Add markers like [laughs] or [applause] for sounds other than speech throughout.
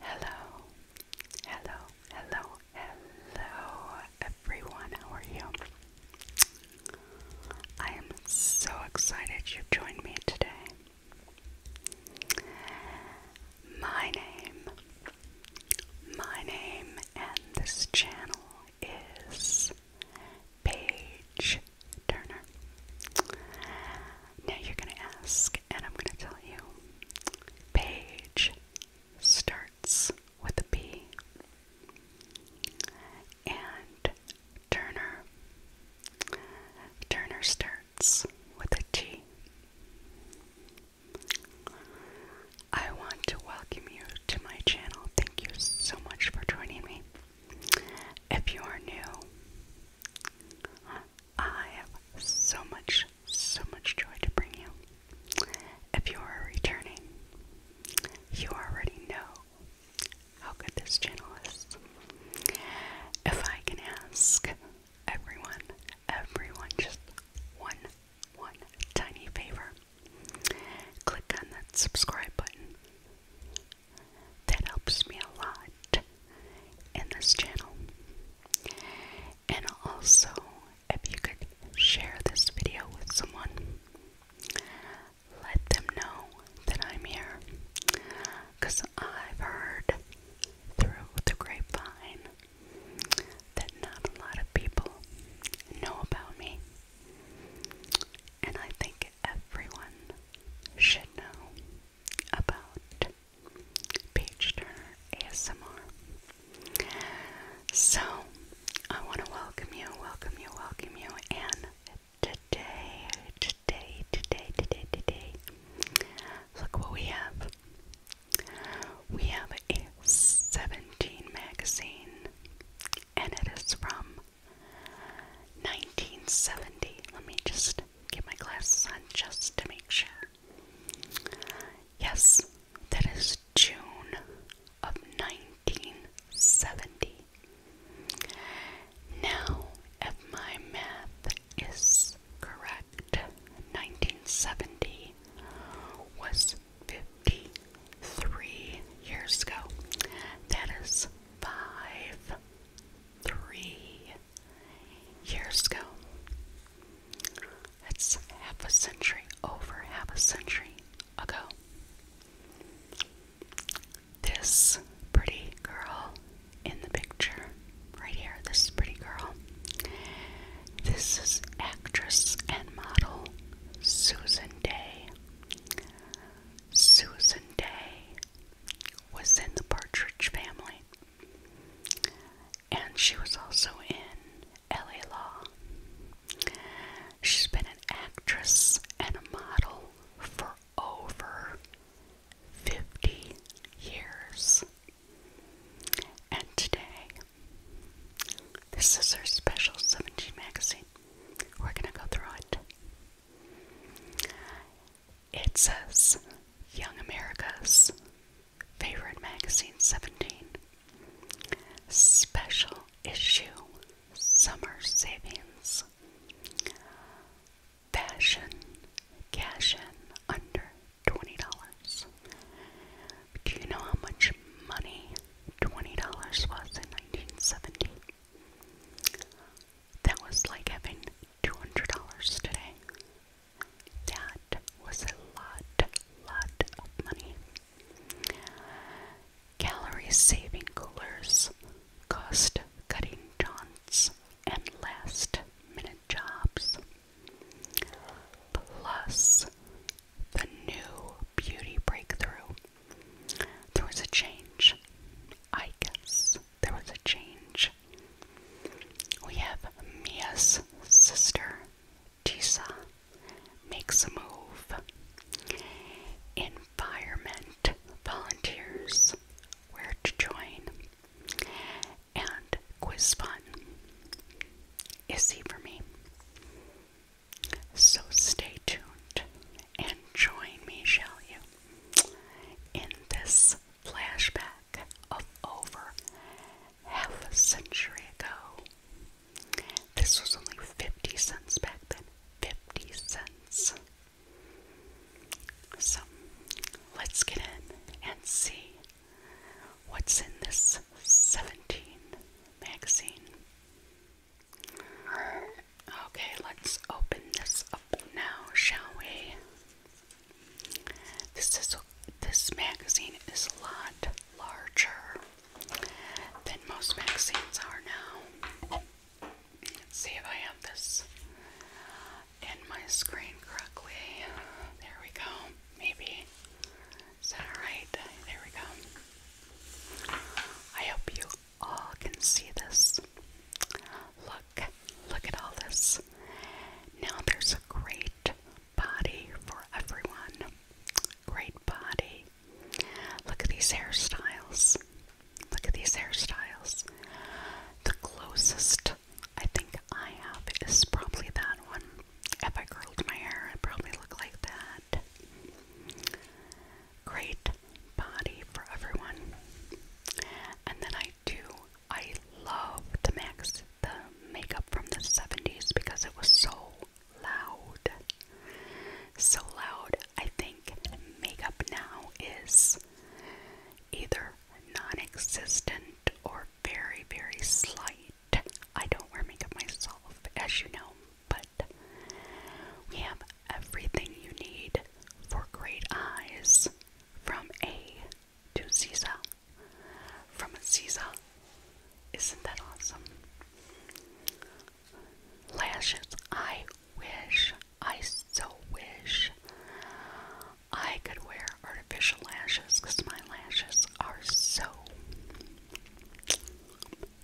Hello, hello, hello, hello, everyone. How are you? I am so excited you've joined me today. My name, my name, and this channel is Page Turner. Now you're going to ask and I'm going to tell you. Page starts with a B, and Turner. Turner starts with a T. I want to welcome you to my channel. Thank you so much for joining me. If you are new, I have so much, so much joy to bring you. If you are returning, you already know how good this channel is. If I can ask everyone, everyone, just one, one tiny favor click on that subscribe button. That helps me a lot in this channel. And also, if you could share this video with someone, let them know that I'm here. Because I've heard through the grapevine that not a lot of people know about me. And I think everyone should know about Page Turner ASMR. So, I want to welcome you, welcome you, welcome you, and today, today, today, today, today, look what we have. We have a 17 magazine, and it is from 1970. Let me just get my glasses on just to make sure. Yes, that is June of 1970. Now, if my math is correct, 1970 was 53 years ago. That is 5 3 years ago. it's half a century, over half a century ago. This pretty girl in the picture, right here, this pretty girl. This is actress and model Susan Day. Susan Day was in the Partridge family. And she was also in LA Law. She's been an actress and a model for over 50 years. And today, this is her special 17 magazine. We're going to go through it. It says Young America's Favorite Magazine 17 Special Issue Summer Savings Fashion Cash In Under $20. Do you know how much money $20 was in 1970? That was like having $200 today. That was a lot, lot of money. Gallery saving coolers, cost cutting jaunts, and last minute jobs. Plus, the new beauty breakthrough. There was a change, I guess, there was a change. We have Mia's sister, Tisa, makes a move. Environment volunteers, where to join, and quiz fun. Is he for me? So stay tuned and join me, shall you, in this flashback of over half a century ago. This was only 50 cents back then. 50 cents. So let's get in and see what's in this 17 magazine. Okay, let's open this up now, shall we? This is this magazine is a lot larger than most magazines are now. Let's see if I have this in my screen correctly. There we go. Maybe. Is that alright? There we go. I hope you all can see this. Look, look at all this. Now there's great body for everyone. Great body. Look at these hairstyles. Look at these hairstyles. The closest I think I have is probably that one. If I curled my hair, I'd probably look like that. Great body for everyone. And then I do I love the Max the makeup from the 70s because it was so loud. So loud. I think makeup now is either non-existent or very very slight. I don't wear makeup myself as you know, but we have everything you need for great eyes from A to Ziza from Caesar. Isn't that awesome? Lashes. I wish, I so wish I could wear artificial lashes because my lashes are so,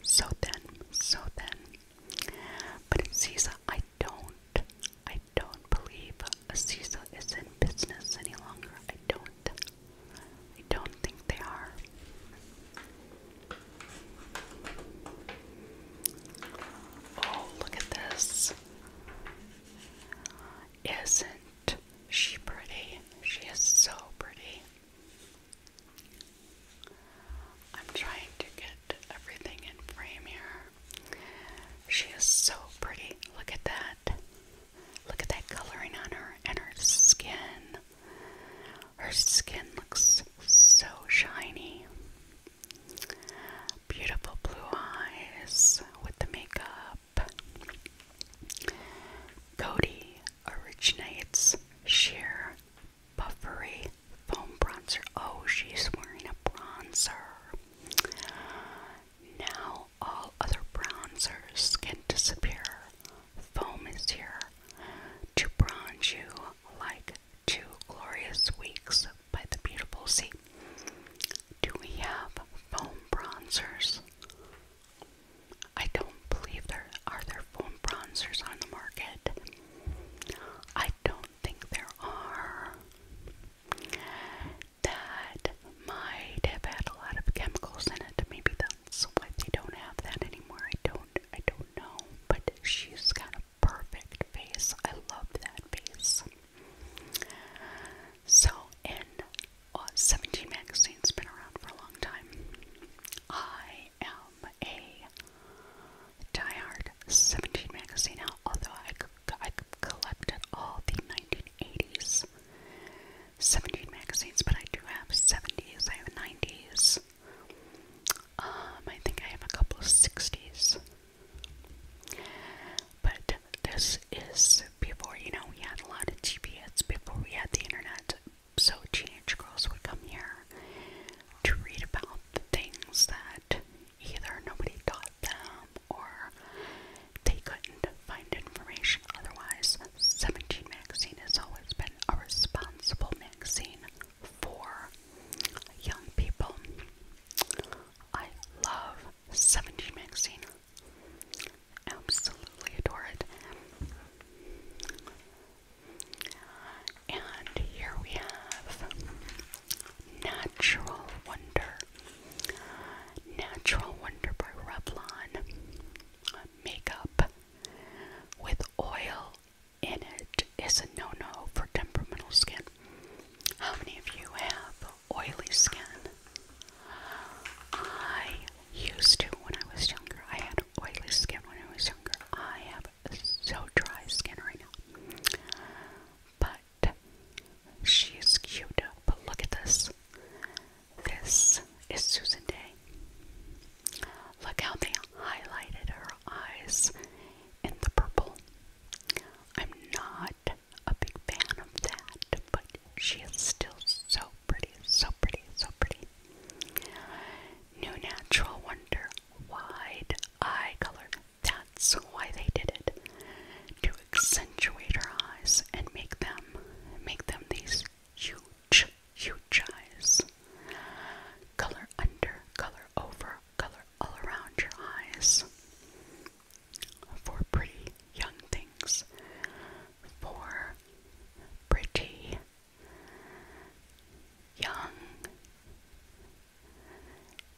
so thin, so thin. But in Caesar, I don't, I I don't believe Aziza is in business any longer. I don't. I don't think they are. Oh, look at this. Isn't she pretty? She is so pretty. I'm trying to get everything in frame here. She is so pretty. Look at that. Look at that coloring on her and her skin. Her skin looks so shiny. Beautiful blue eyes with the makeup. Cody originates sheer buffery foam bronzer. Oh, she's wearing a bronzer. Now all other bronzers can disappear. Foam is here to bronze you like two glorious weeks by the beautiful sea. Do we have foam bronzers? I don't believe there are there foam bronzers on the market. I don't think there are that might have had a lot of chemicals in it. Maybe that's why they don't have that anymore. I don't I don't know. But she's got a perfect face. I love that face. So in uh, 17 magazine's been around for a long time. I am a diehard 17 magazine now, although I, I collected all the 1980s 17 magazines, but I do have 70s, I have 90s. Um, I think I have a couple of 60s. But this is before, you know, we had a lot of TV ads before we had the internet. So teenage girls would come here to read about the things that either nobody taught them or they couldn't find information otherwise. 17 magazine has always been a responsible magazine for young people. I love 17 magazine. Absolutely adore it. And here we have Natural Wonder Natural Wonder by Revlon makeup with oil in it is a no no for temperamental skin. How many of you have oily skin? I used to when I was younger. I had oily skin when I was younger. I have so dry skin right now. But She's cute, but look at this. This is Susan Day. Look how they highlighted her eyes in the purple. I'm not a big fan of that, but she is still so pretty, so pretty, so pretty. New Natural Wonder Wide Eye Color. That's why they did it to accentuate her eyes and make them make them these huge, huge eyes. Color under, color over, color all around your eyes. For pretty young things. For pretty young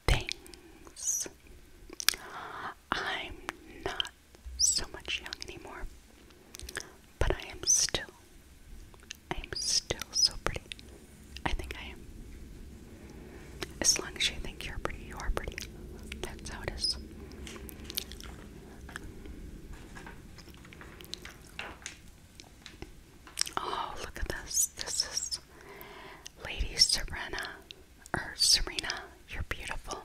things. I'm not so much young anymore. But I am still, I am still so pretty. I think I am. As long as you think you're pretty, you are pretty. That's how it is. Oh, look at this. This is Lady Serena or Serena. You're beautiful.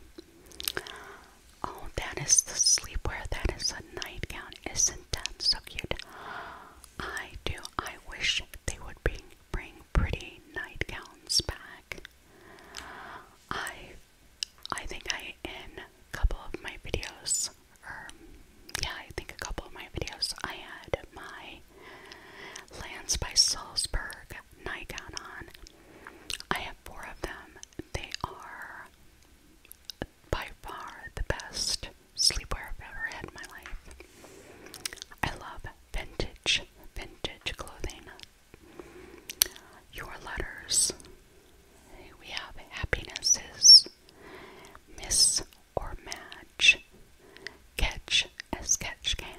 Oh, that is the sleepwear. That is a nightgown. Isn't that so cute? I do. I wish they would bring, bring pretty nightgowns back. I, I think I in a couple of my videos, yeah, I think a couple of my videos, I had my Lands by Salzburg nightgown on. I have four of them. They are by far the best sleepwear I've ever had in my life. I love vintage, vintage clothing. Your letters. We have happinesses. Miss or match. Catch as catch can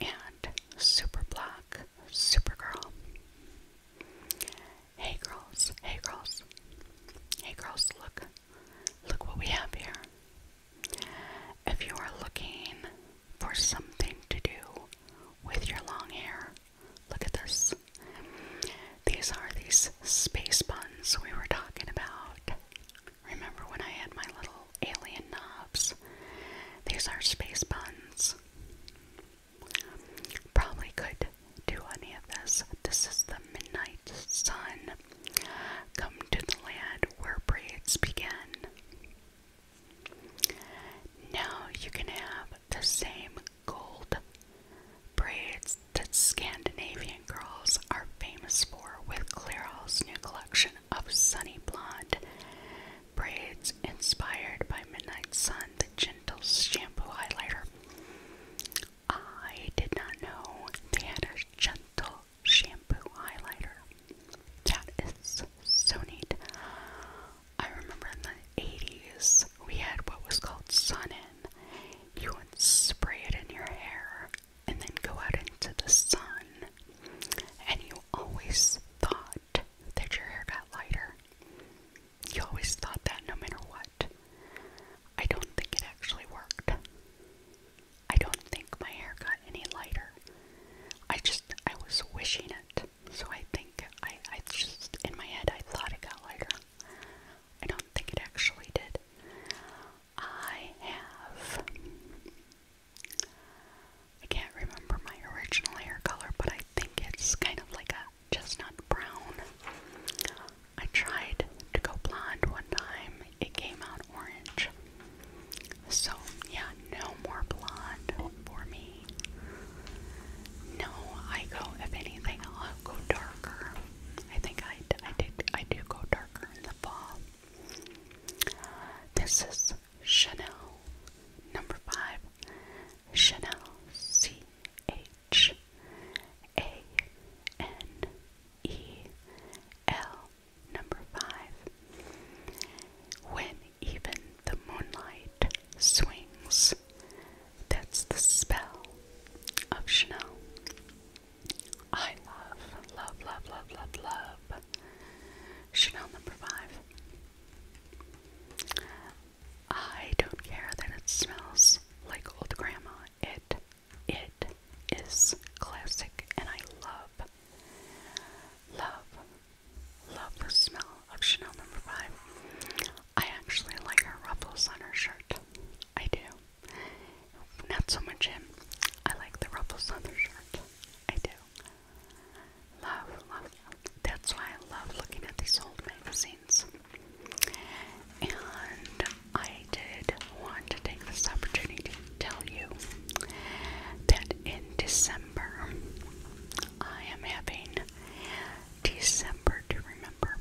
and Super Black Supergirl. Hey girls, hey girls, hey girls, look, look what we have here. If you are looking for something to do with your long hair, look at this. These are these space buns we were talking about. Remember when I had my little alien knobs. These are space buttons. Probably could do any of this. This is the midnight sun. Come to the land where braids begin. Now you can have the same gold braids that Scandinavian girls are famous for with Clairol's new collection of sunny blonde braids inspired by Midnight Sun, the gentle shampoo highlighter. I did not know they had a gentle shampoo highlighter. That is so neat. I remember in the 80s we had what was called sun in. You would spray it in your hair and then go out into the sun. And you always thought that your hair got lighter. You always thought that no matter what. I don't think it actually worked. I don't think my hair got any lighter. I just, I was wishing it. So I think, I, I just, in my head, I thought it got lighter. I don't think it actually did. I have I can't remember my original hair color, but I think it's kind of like a chestnut brown. I tried to go blonde one time, it came out orange. So, yeah, no more blonde for me. No, I go, if anything, I'll go darker. I think I, I, did, I do go darker in the fall. This is Chanel. Number five, Chanel. C H A N E L. Number five, when even the moonlight swings. That's the spell of Chanel. I love, love, love, love, love, love Chanel number five. I don't care that it smells like old grandma. It it is classic and I love love love the smell of Chanel number 5. I actually like her ruffles on her shirt. I do. Not so much him. I like the ruffles on her shirt. I do. Love, love. That's why I love looking at these old magazines. And I did want to take this opportunity to tell you that in December I am having December to Remember.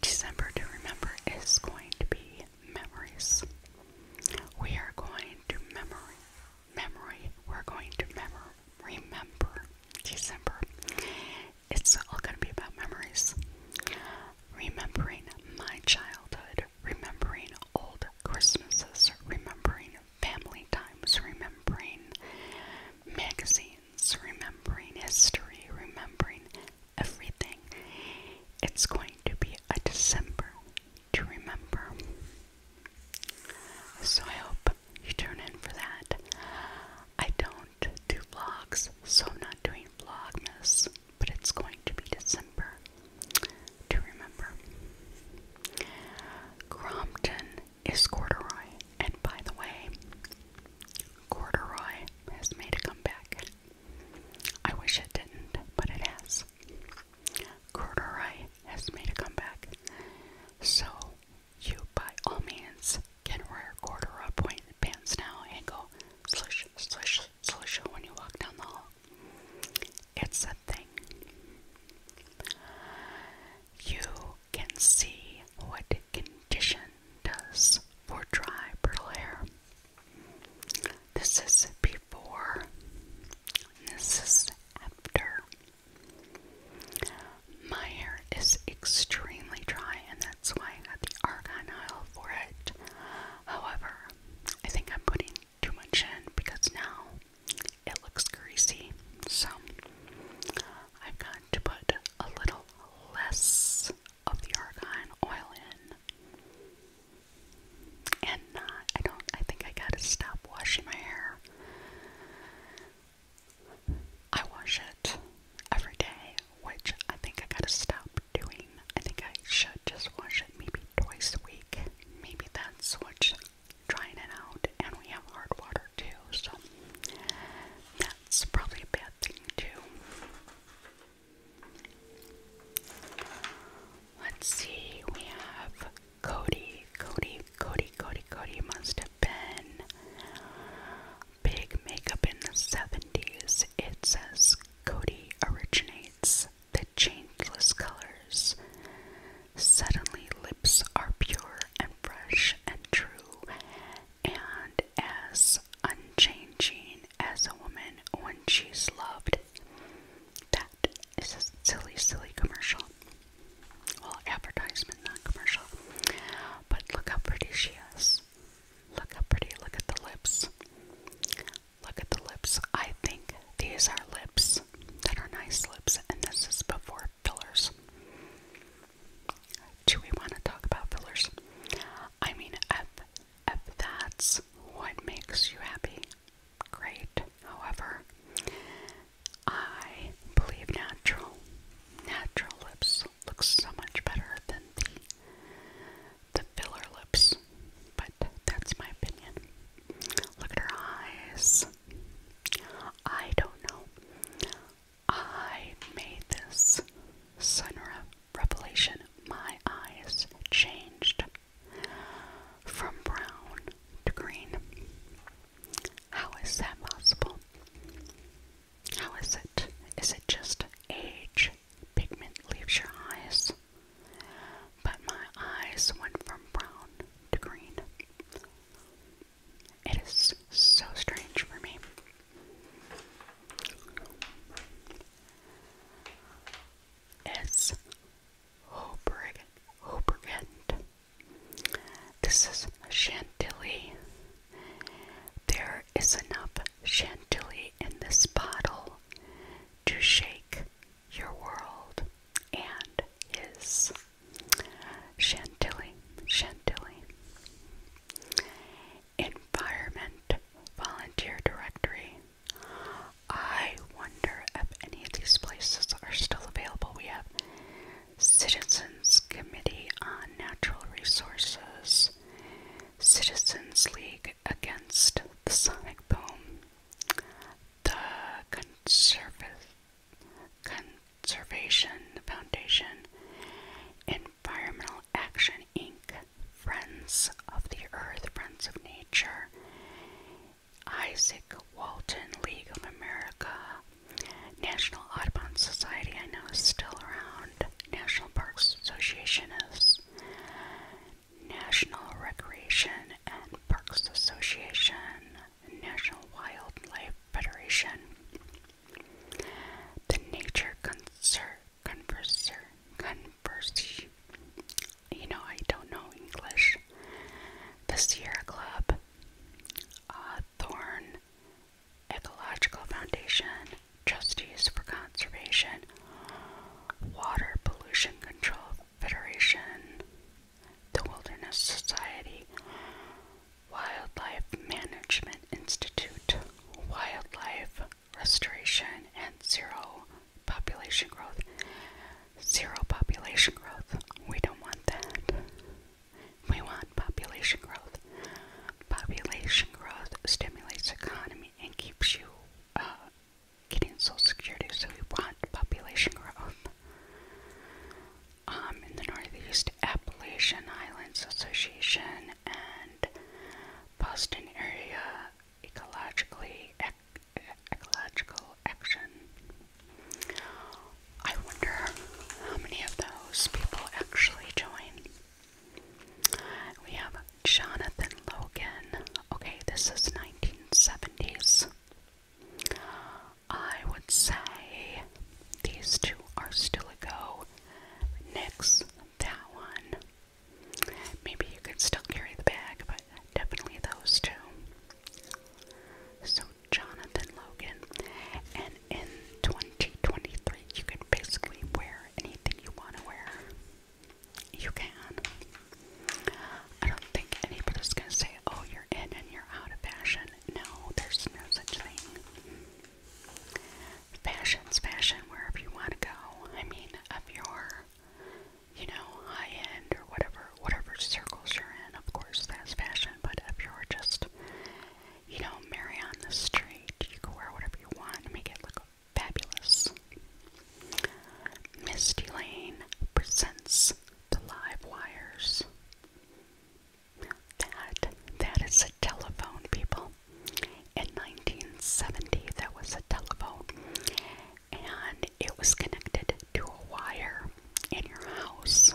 December to Remember is going to be memories. We are going to memory memory. We're going to remember, remember December. It's all going to be about memories. Remembering my childhood, remembering old Christmases, remembering family times, remembering magazines, remembering history, remembering everything. It's going to be a December to remember. So I hope you turn in for that. I don't do vlogs, so I'm not doing Vlogmas, but it's going to be December to remember. Crompton is corduroy, and by the way, corduroy has made a comeback. I wish it didn't, but it has. Texas. Corduroy has made a comeback, so you by all means can wear corduroy point pants now and go slush, slush, slush when you walk down the hall. It's a thing. You can see what condition does for dry, brittle hair. This is before this is after. My hair is extremely dry, and that's why I got the argan oil for it. However, I think I'm putting too much in because now it looks greasy. So I've got to put a little less of the argan oil in and I don't I think I gotta stop washing my hair. I wash it every day, which I think I gotta stop doing. I think I should just wash it maybe twice a week. Maybe that's what's trying it out. And we have hard water too, so that's probably a bad thing too. Let's see, we have Cody. Cody, Cody, Cody, Cody must have been big makeup in the 70s. It says Cody originates the changeless colors. Suddenly, lips are pure and fresh and true, and as unchanging as a woman when she's loved. That is a silly, silly commercial. Well, advertisement, not commercial. But look how pretty she is. Look how pretty. Look at the lips. Look at the lips. I think these are lips that are nice lips, and this is before fillers. Do we want to talk about fillers? I mean, if, if that's what makes you happy, great. However, I believe natural natural lips look so much better than the the filler lips. But that's my opinion. Look at her eyes. I don't know. I made this sudden revelation. My eyes changed from brown to green. How is that possible? How is it? Is it just age? Pigment leaves your eyes. But my eyes went from brown to green. It is so strange for me. It's Hobrigan, Hobrigan, this is chantilly. There is enough chantilly in this bottle to shake your world and is Chantilly, chantilly. Environment Volunteer Directory. I want wonder if any of these places are still available. We have Citizens Committee on Natural Resources, Citizens League Against the Sonic Boom, the Conserv Conservation Foundation, Environmental Action Inc., Friends of the Earth, Friends of Nature, Isaac Walton League of America, National Audubon Society, I know is still around, National Parks Association is, National Recreation and Parks Association, National Wildlife Federation, the Nature Conser Converser Converse, you know I don't know English, the Sierra Club, Lab, Thorn Ecological Foundation, Trustees for Conservation, Water Pollution Control Federation, the Wilderness Society, Wildlife Management Institute, Wildlife Restoration and Zero Population Growth, zero population growth. We don't want that. We want population growth. Population growth stimulates economy and keeps you uh, getting Social Security. So we want population growth. Um, in the Northeast Appalachian Islands Association and Boston area ecologically ecological action. I wonder how many of those people actually join. We have Jonathan Logan. Okay, this is 1970s. I would say these two are still a go. Next, that one. Maybe you could still carry the bag, but definitely those two. So Jonathan Logan. And in 2023, you can basically wear anything you want to wear. You can. I don't think anybody's going to say, oh, you're in and you're out of fashion. No, there's no such thing. Fashion's fashion wherever you want to go. I mean, of your, you know, high end or whatever whatever circles you're in, of course that's fashion, but if you're just, you know, merry on the street, you can wear whatever you want and make it look fabulous. Misty Lane presents the live wires. That, that is a telephone, people. In 1970, that was a telephone, and it was connected to a wire in your house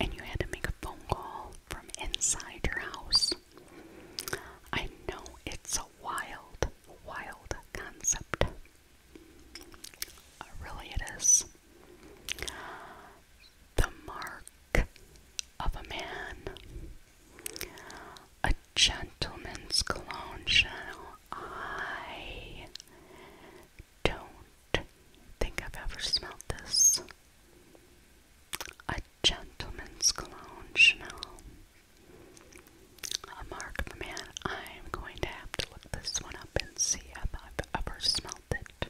and you had to make a phone call from inside your house. I know it's a wild, wild concept. Uh, really, it is. The mark of a man. A gentleman's cologne I don't think I've ever smelled this. A gentleman's cologne Chanel. mark man. I'm going to have to look this one up and see if I've ever smelled it.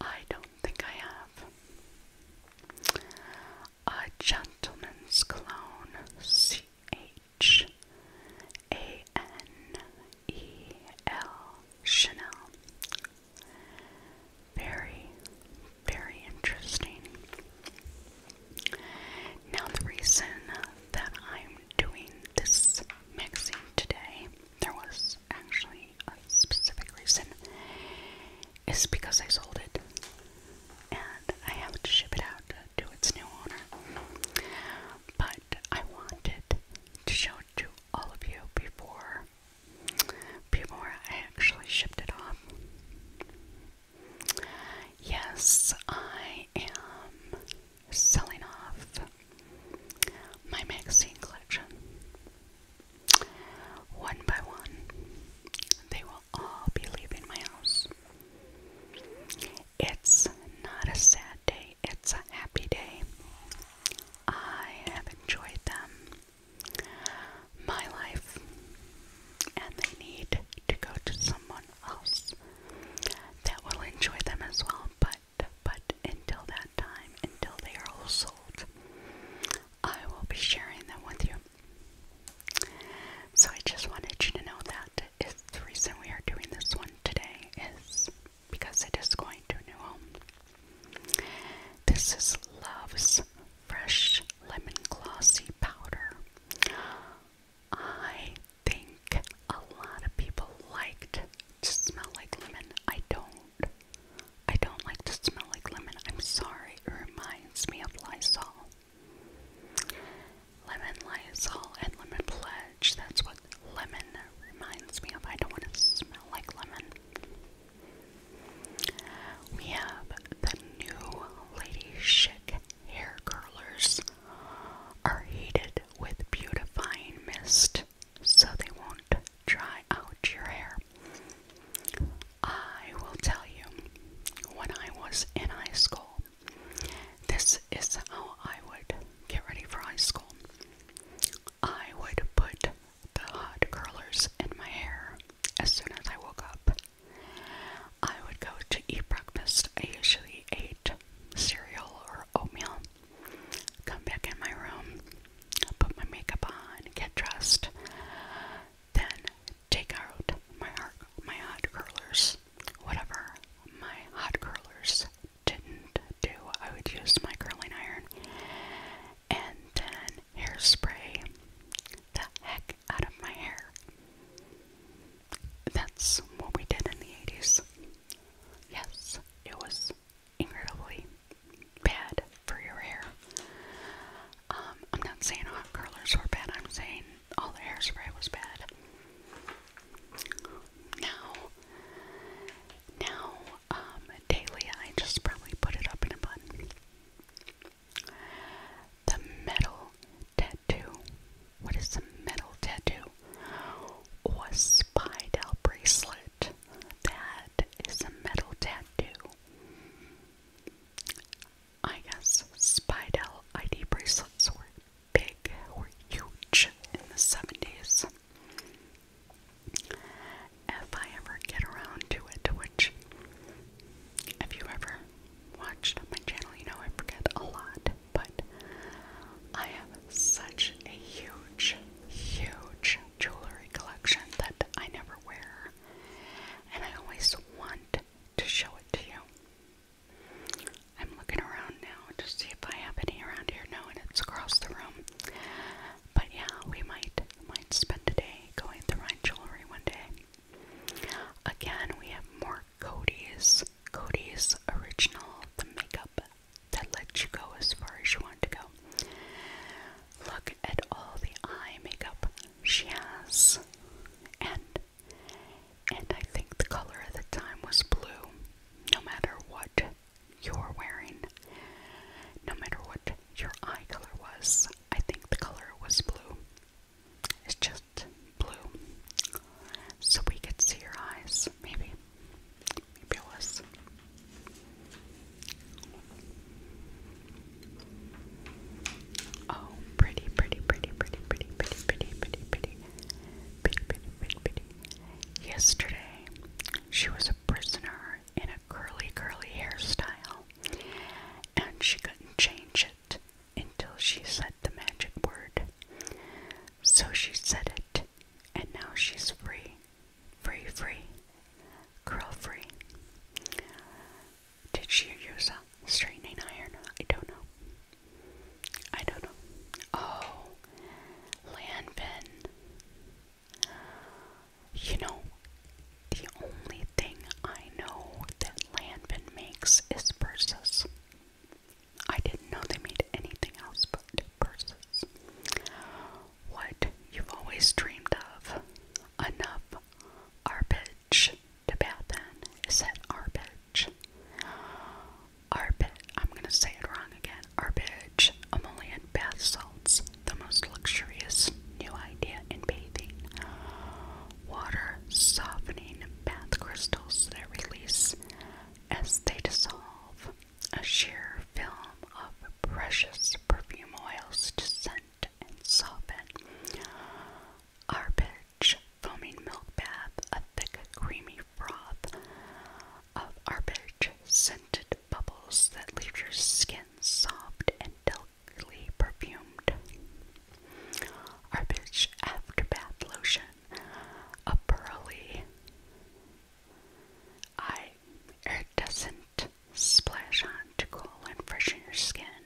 I don't think I have. A gentleman's cologne. C H H A N E L Chanel. Very, very interesting. Now, the reason that I'm doing this mixing today, there was actually a specific reason, is because I sold it and I have to ship it out to its new owner. But I wanted to show to all of you before before I actually shipped it off. Yes, I am selling off my magazine collection. One by one, they will all be leaving my house. It's not a sad day it's a happy day. I have enjoyed them, my life, and they need to go to someone else that will enjoy them as well. But but until that time, until they are all sold, I will be sharing them with you. So I just wanted you to know that the reason we are doing this one today is because it is going to a new home. This is Love's Fresh Lemon Glossy Powder. I think a lot of people liked to smell like lemon. I don't. I don't like to smell like lemon. I'm sorry. It reminds me of Lysol. Lemon Lysol and Lemon Pledge. That's what lemon reminds me of. I don't want to smell like lemon. We have the new Lady Chic hair curlers are heated with beautifying mist so they won't dry out your hair. I will tell you, when I was in high school, this is how I would get ready for high school, I would put the hot curlers in my hair as soon as I woke up. I would go to eat breakfast. I usually ate cereal or oatmeal. Come back in my room, put my makeup on, get dressed, then take out my, my hot curlers, whatever my hot curlers didn't do, I would use my curling iron and then hairspray the heck out of my hair. That's what we did in the 80s. Yes, it was incredibly bad for your hair. Um, I'm not saying hot curlers were bad, I'm saying all the hairspray was bad. Now, now, um, daily, I just probably put it up in a bun. The metal tattoo. What is the metal tattoo? Or a spider bracelet. That is a metal tattoo. I guess Spidel ID bracelets were big, were huge in the 70s. If I ever get around to it, which, if you ever watched my channel, you know I forget a lot, but I have such a huge, huge jewelry collection that I never wear, and I always want to show it to you. I'm looking around now now see if I have any around here. No, and it's across the room. But yeah, we might might spend a day going through my jewelry one day. Again, we have more Cody's Cody's original the makeup that lets you go as far as you want to go. Look at all the eye makeup she has, and and I think the color at the time was blue. No matter what you're wearing. No matter what your eye color was, I think the color was blue. It's just blue. So we could see your eyes, maybe. Maybe it Oh, pretty, pretty, pretty, pretty, pretty, pretty, pretty, pretty, pretty, pretty, pretty, pretty. Yesterday she was a prisoner in a curly, curly hairstyle, and she couldn't change it until she said the magic word. So she said it, and now she's free. Free, free. Curl free. Did she use a straightening iron? I don't know. I don't know. Oh, Lanvin. You know, the only thing I know that Lanvin makes is purses. I didn't know they made anything else but purses. What you've always dreamed of, enough arbage to bath in, is that arbage? Arbit. I'm gonna say it wrong again. I'm only emollient bath salts, the most luxurious new idea in bathing. Water softening bath crystals that release as they dissolve. A sheer film of precious perfume oils to scent and soften. Arbage foaming milk bath, a thick, creamy broth of arbage scented bubbles that leave your skin soft and delicately perfumed. Arbage afterbath lotion, a pearly iridescent splash to cool and freshen your skin,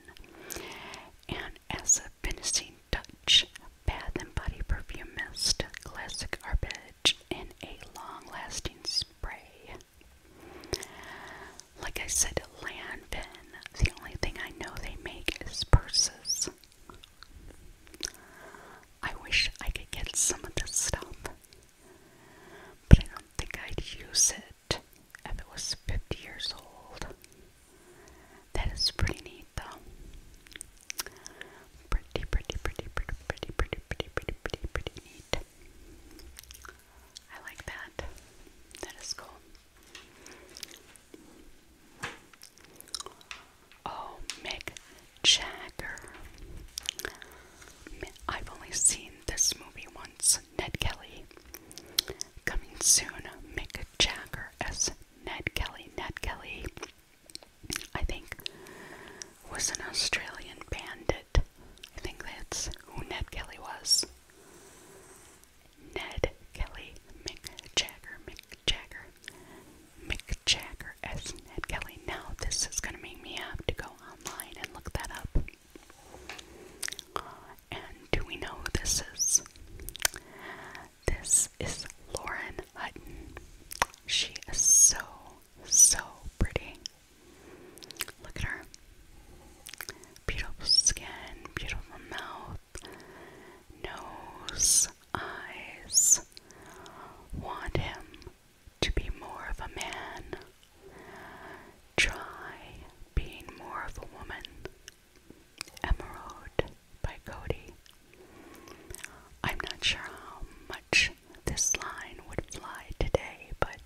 and as a finishing touch, bath and body perfume mist, classic arbage drenched in a long lasting spray. Like I said, Lanvin, the only thing I know they make is purses. I wish I could get some of this stuff, but I don't think I'd use it if it was 50 years old. That is pretty neat, though. Pretty, pretty, pretty, pretty, pretty, pretty, pretty, pretty, pretty, neat. I like that. That is cool. Oh, Mick Jagger. I've only seen this movie once. Ned Kelly. Coming soon, Mick Jagger as Ned Kelly. Ned Kelly I think, was an Australian bandit. I think that's who Ned Kelly was. Ned Kelly Mick Jagger, Mick Jagger, Mick Jagger S Ned Kelly. Now, this is going to make me have to go online and look that up. And do we know who this is? This is Lauren Hutton. She is so so pretty. Look at her. Beautiful skin, beautiful mouth, nose, eyes. Want him to be more of a man. Try being more of a woman. Emerald by Cody. I'm not sure how much this line would fly today, but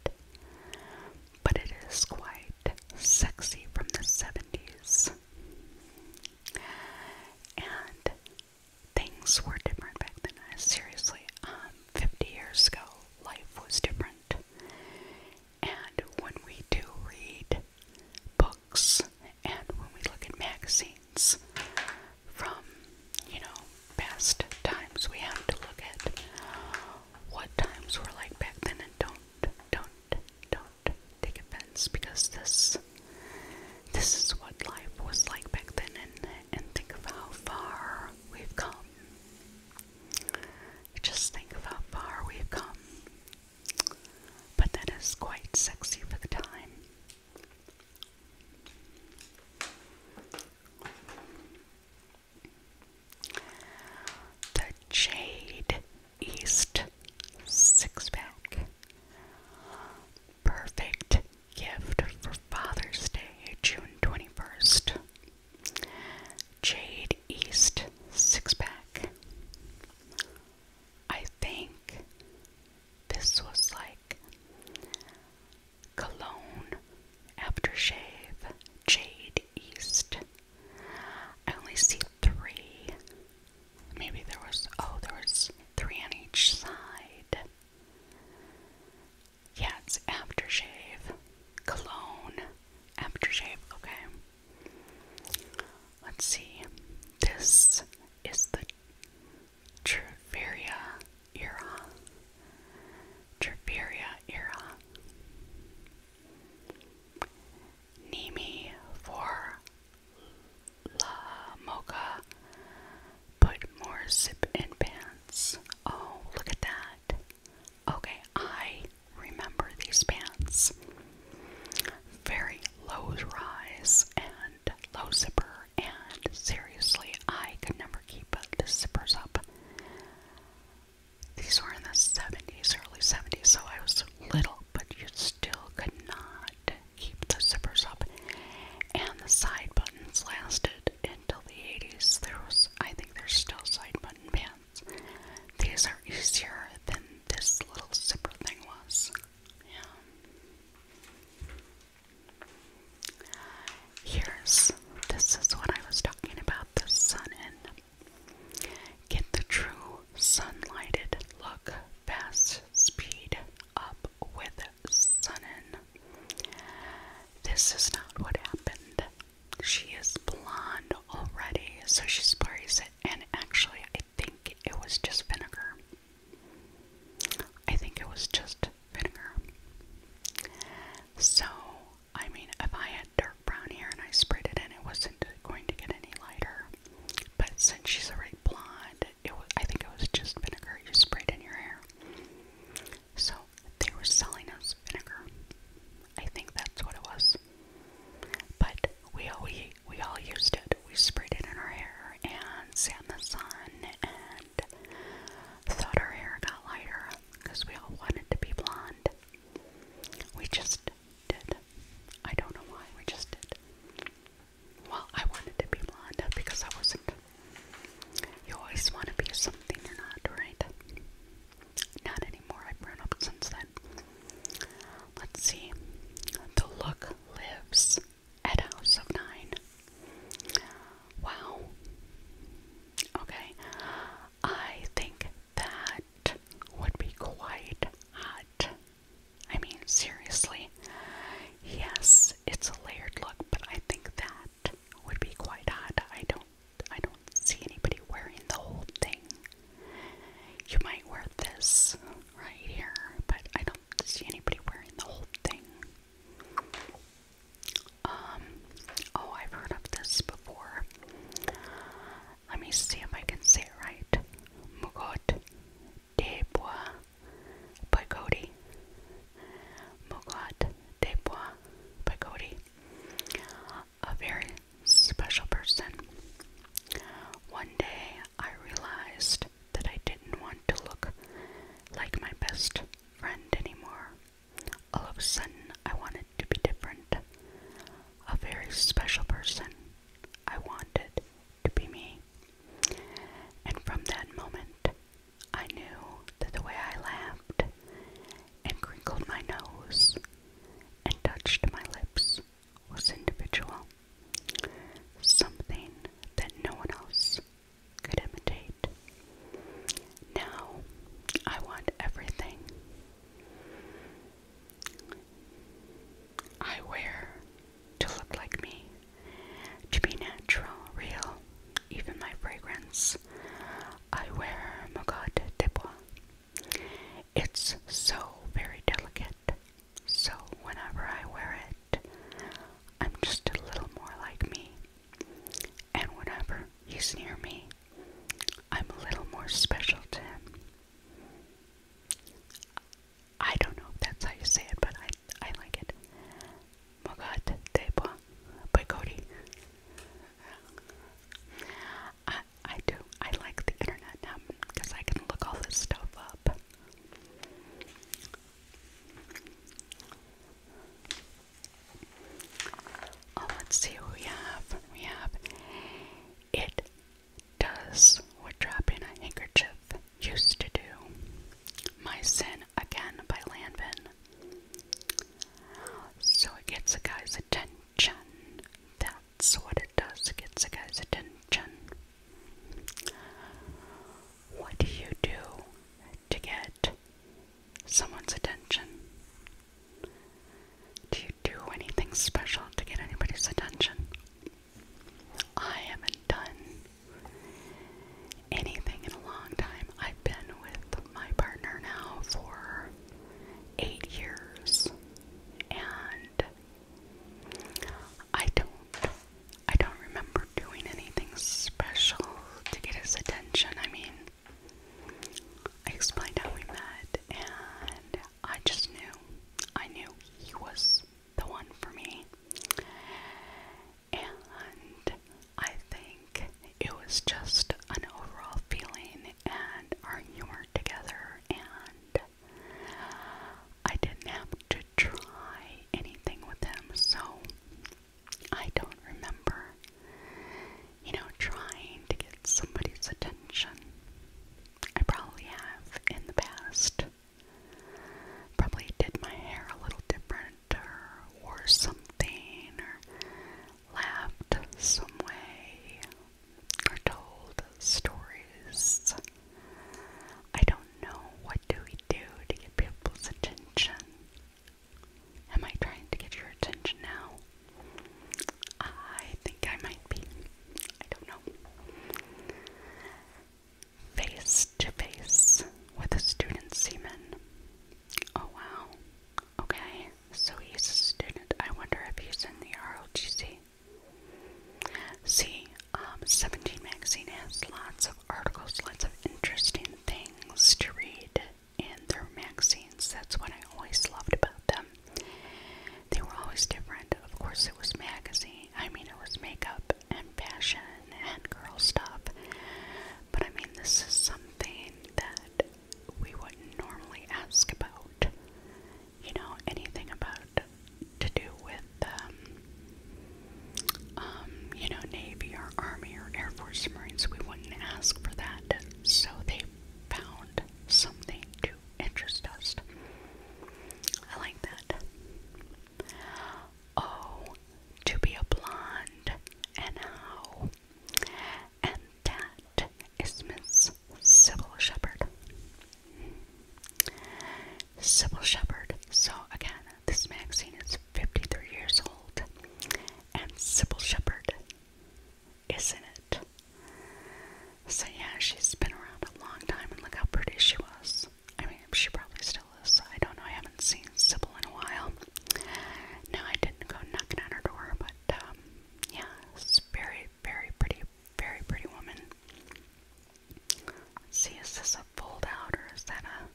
but it is quite sexy from the 70s. And things were different back then. Seriously, um, 50 years ago, life was different. And when we do read books and when we look at magazines, from, you know, past times. We have to look at what times were like back then and don't, don't, don't take offense because this this is what life was like back then and and think of how far we've come. Just think of how far we've come. But that is quite sexy for the time. The Jade East Six Pack. Perfect gift for Father's Day, June 21st. Jade East Six Pack. I think this was like cologne, aftershave, Jade East. I only see three. Maybe there was, oh, there was three on each side. Yeah, it's aftershave, cologne, aftershave, okay. Let's see. This is the Treveria era, Triperia era, Nemi for La Mocha, put more zip in pants. Oh, look at that. Okay, I remember these pants. Very low rise and low zipper and seriously, I could never keep the zippers up. These were in the 70s, early 70s, so I was little, but you still could not keep the zippers up. And the side buttons lasted until the 80s. There was, I think there's still side button pants. These are easier than this little zipper thing was. Yeah. Here's this is what I was talking about the sun in. Get the true sunlighted look, fast speed up with sun in. This is not what happened. She is blonde already, so she sprays it, and actually, I think it was just vinegar. I think it was just vinegar. So, I mean, if I had dark brown hair and I sprayed it in, it wasn't going to get any lighter. But since she's already blonde, it was, I think it was just vinegar you sprayed in your hair. So, they were selling us vinegar. I think that's what it was. But we all, we, we all used it. We sprayed it in our hair and sat in the sun and Thought our hair got lighter because we all wanted to be blonde. We just did. I don't know why, we just did. Well, I wanted to be blonde because I wasn't. You always want to be something you're not, right? Not anymore, I've grown up since then. Let's see. The look lives at House of Nine. Wow. Okay. I think that would be quite hot. I mean, seriously. Yes, it's a layered look, but I think that would be quite hot. I don't I don't see anybody wearing the whole thing. You might wear this right here, but I don't see anybody wearing the whole thing. Um, oh, I've heard of this before. Let me see if I can say it right. Mugot de bois by Cody. Mugot de bois by Cody. A very special person. One day I realized that I didn't want to look like my best friend anymore. All of a sudden, I wanted to be different. A very special person. I wanted to be me. And from that moment, I knew that the way I laughed and crinkled my nose and touched my lips was individual. Something that no one else could imitate. Now I want everything. I wear to look like me, to be natural, real, even my fragrance. I wear Magad de Bois. It's so very delicate, so whenever I wear it, I'm just a little more like me and whenever he's near me, I'm a little more special to him. I don't know if that's how you say it, but I I like it. God, Mogat Deba by Cody. I I do. I like the internet now because I can look all this stuff up. Oh, let's see we have. We have it does what dropping a handkerchief used to do. My Sin Again by Lanvin. So it gets a guy's attention. That's what it does. It gets a guy's attention. What do you do to get someone's attention? Do you do anything special to get anybody's attention? I haven't done anything in a long time. I've been with my partner now for eight years and I don't I don't remember doing anything special to get his attention. I mean I explained how we met, and I just knew. I knew he was the one for me. And I think it was just an overall feeling and our humor together, and I didn't have to try anything with him, so I don't remember, you know, trying to get somebody's attention. I probably have in the past. Probably did my hair a little different or wore something or laughed some way or told stories. I don't know what do we do to get people's attention. Am I trying to get your attention now? I think I might be. I don't know. Face to face with a student seaman. Oh wow. Okay, so he's a student. I wonder if he's in the ROTC. See, um, 17 Magazine has lots of articles, lots of interesting things to read and their magazines. That's what I always loved about them. They were always different. Of course, it was magazine. I mean, it was makeup and fashion and girl stuff. But I mean, this is something that we wouldn't normally ask about. You know, anything about to do with um, um, you know, Navy or Army or Air Force Marines, we wouldn't ask for that. So they found something to interest us. I like that. Oh, to be a blonde and how. And that is Miss Sybil Shepherd. Sybil Shepherd. So, again, this magazine is 53 years old and Sybil Shepherd, isn't it? So yeah, she's been around a long time, and look how pretty she was. I mean, she probably still is. I don't know. I haven't seen Sybil in a while. No, I didn't go knocking on her door, but um, yeah, it's very, very pretty, very pretty woman. see, is this a fold out or is that a?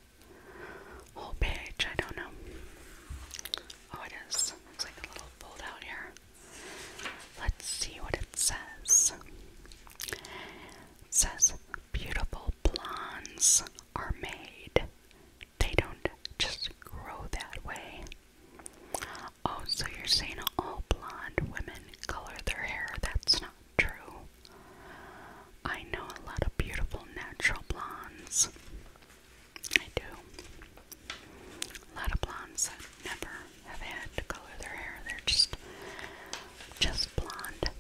whole page. I don't know. Oh, it is. It's like a little fold here. Let's see what it says. says, Beautiful blondes are made. They don't just grow that way. Oh, so you're saying all blonde women color their hair? That's not true. I know a lot of beautiful natural blondes. I do. A lot of blondes never have had to color their hair. They're just, just blonde.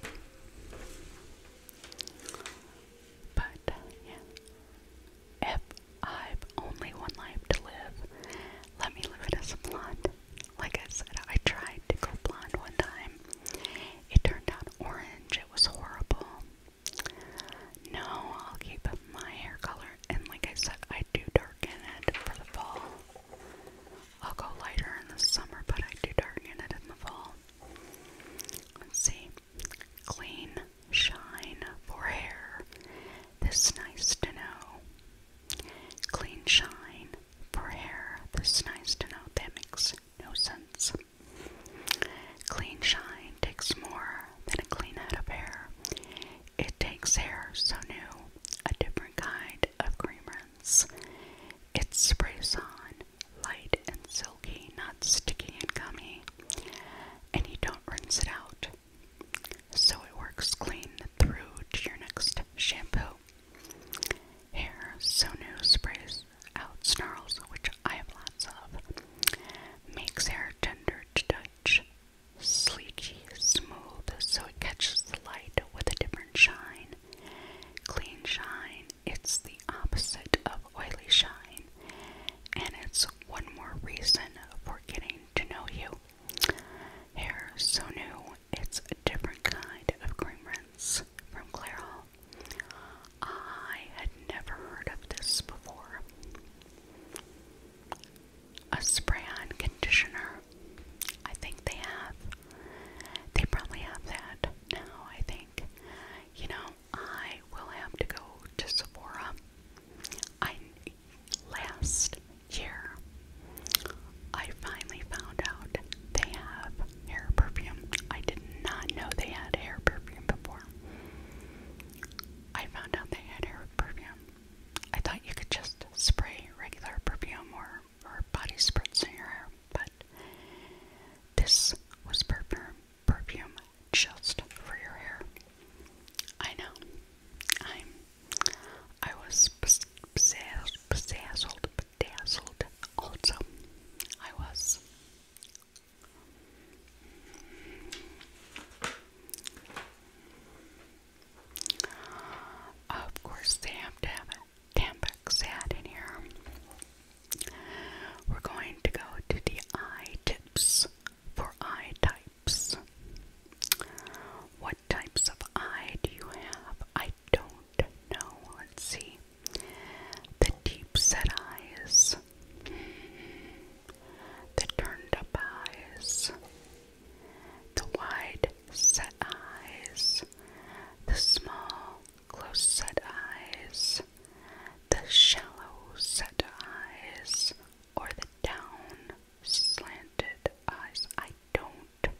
But yeah, if I've only one life to live, let me live it as a blonde. Like I said, I tried to go blonde one time. It turned out orange. It was horrible. No, I'll keep my hair color. And like I said, I do darken it for the fall. I'll go lighter in the summer, but I do darken it in the fall. Let's see. Clean shine for hair. This nice to know. Clean shine for hair. This nice to know. That no sense. Clean shine takes more than a clean head of hair. It takes hair so new, a different kind of cream rinse. It sprays on, light and silky, not sticky and gummy, and you don't rinse it out. So it works clean through to your next shampoo. Hair so new sprays out snarls, which I have lots of, makes hair tender to touch, sleeky, smooth, so it catches the light with a different shine. Clean shine, it's the opposite of oily shine, and it's one more reason for getting to know you. Hair so new, it's a different kind of cream rinse from Clarol. I had never heard of this before. A spray on conditioner. I think they have. They probably have that now, I think. You know, I will have to go to Sephora. I last year I finally found out they have hair perfume. I did not know they had hair perfume before. I found out they had hair perfume. I thought you could just spray regular perfume or, or body spritz in your hair, but this was perfume, perfume just for your hair. I know. I'm. I was bedazzled, bedazzled. Also, I was. Of course, they have to have a Tampax hat in here. We're going to go to the eye tips for eye types. What types of eye do you have? I don't know. Let's see. The deep set eyes the turned-up eyes, the wide-set eyes, the small, close-set eyes, the shallow-set eyes, or the down-slanted eyes. I don't.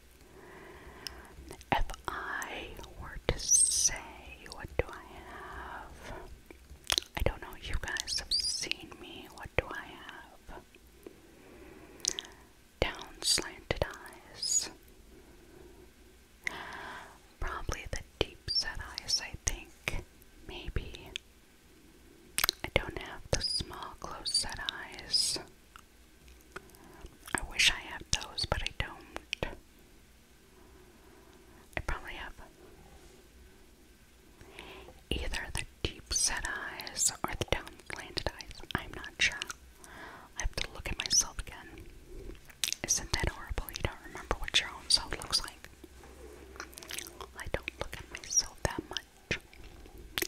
If I were to say, what do I have? I don't know, you guys have seen me. What do I have? Down slanted eyes. Probably the deep set eyes, I think. Maybe. I don't have the small close set eyes. I wish I had those, but I don't. I probably have either the deep set eyes or the down slanted eyes. I'm not sure. I have to look at myself again. Isn't that horrible? You don't remember what your own self looks like. I don't look at myself that much.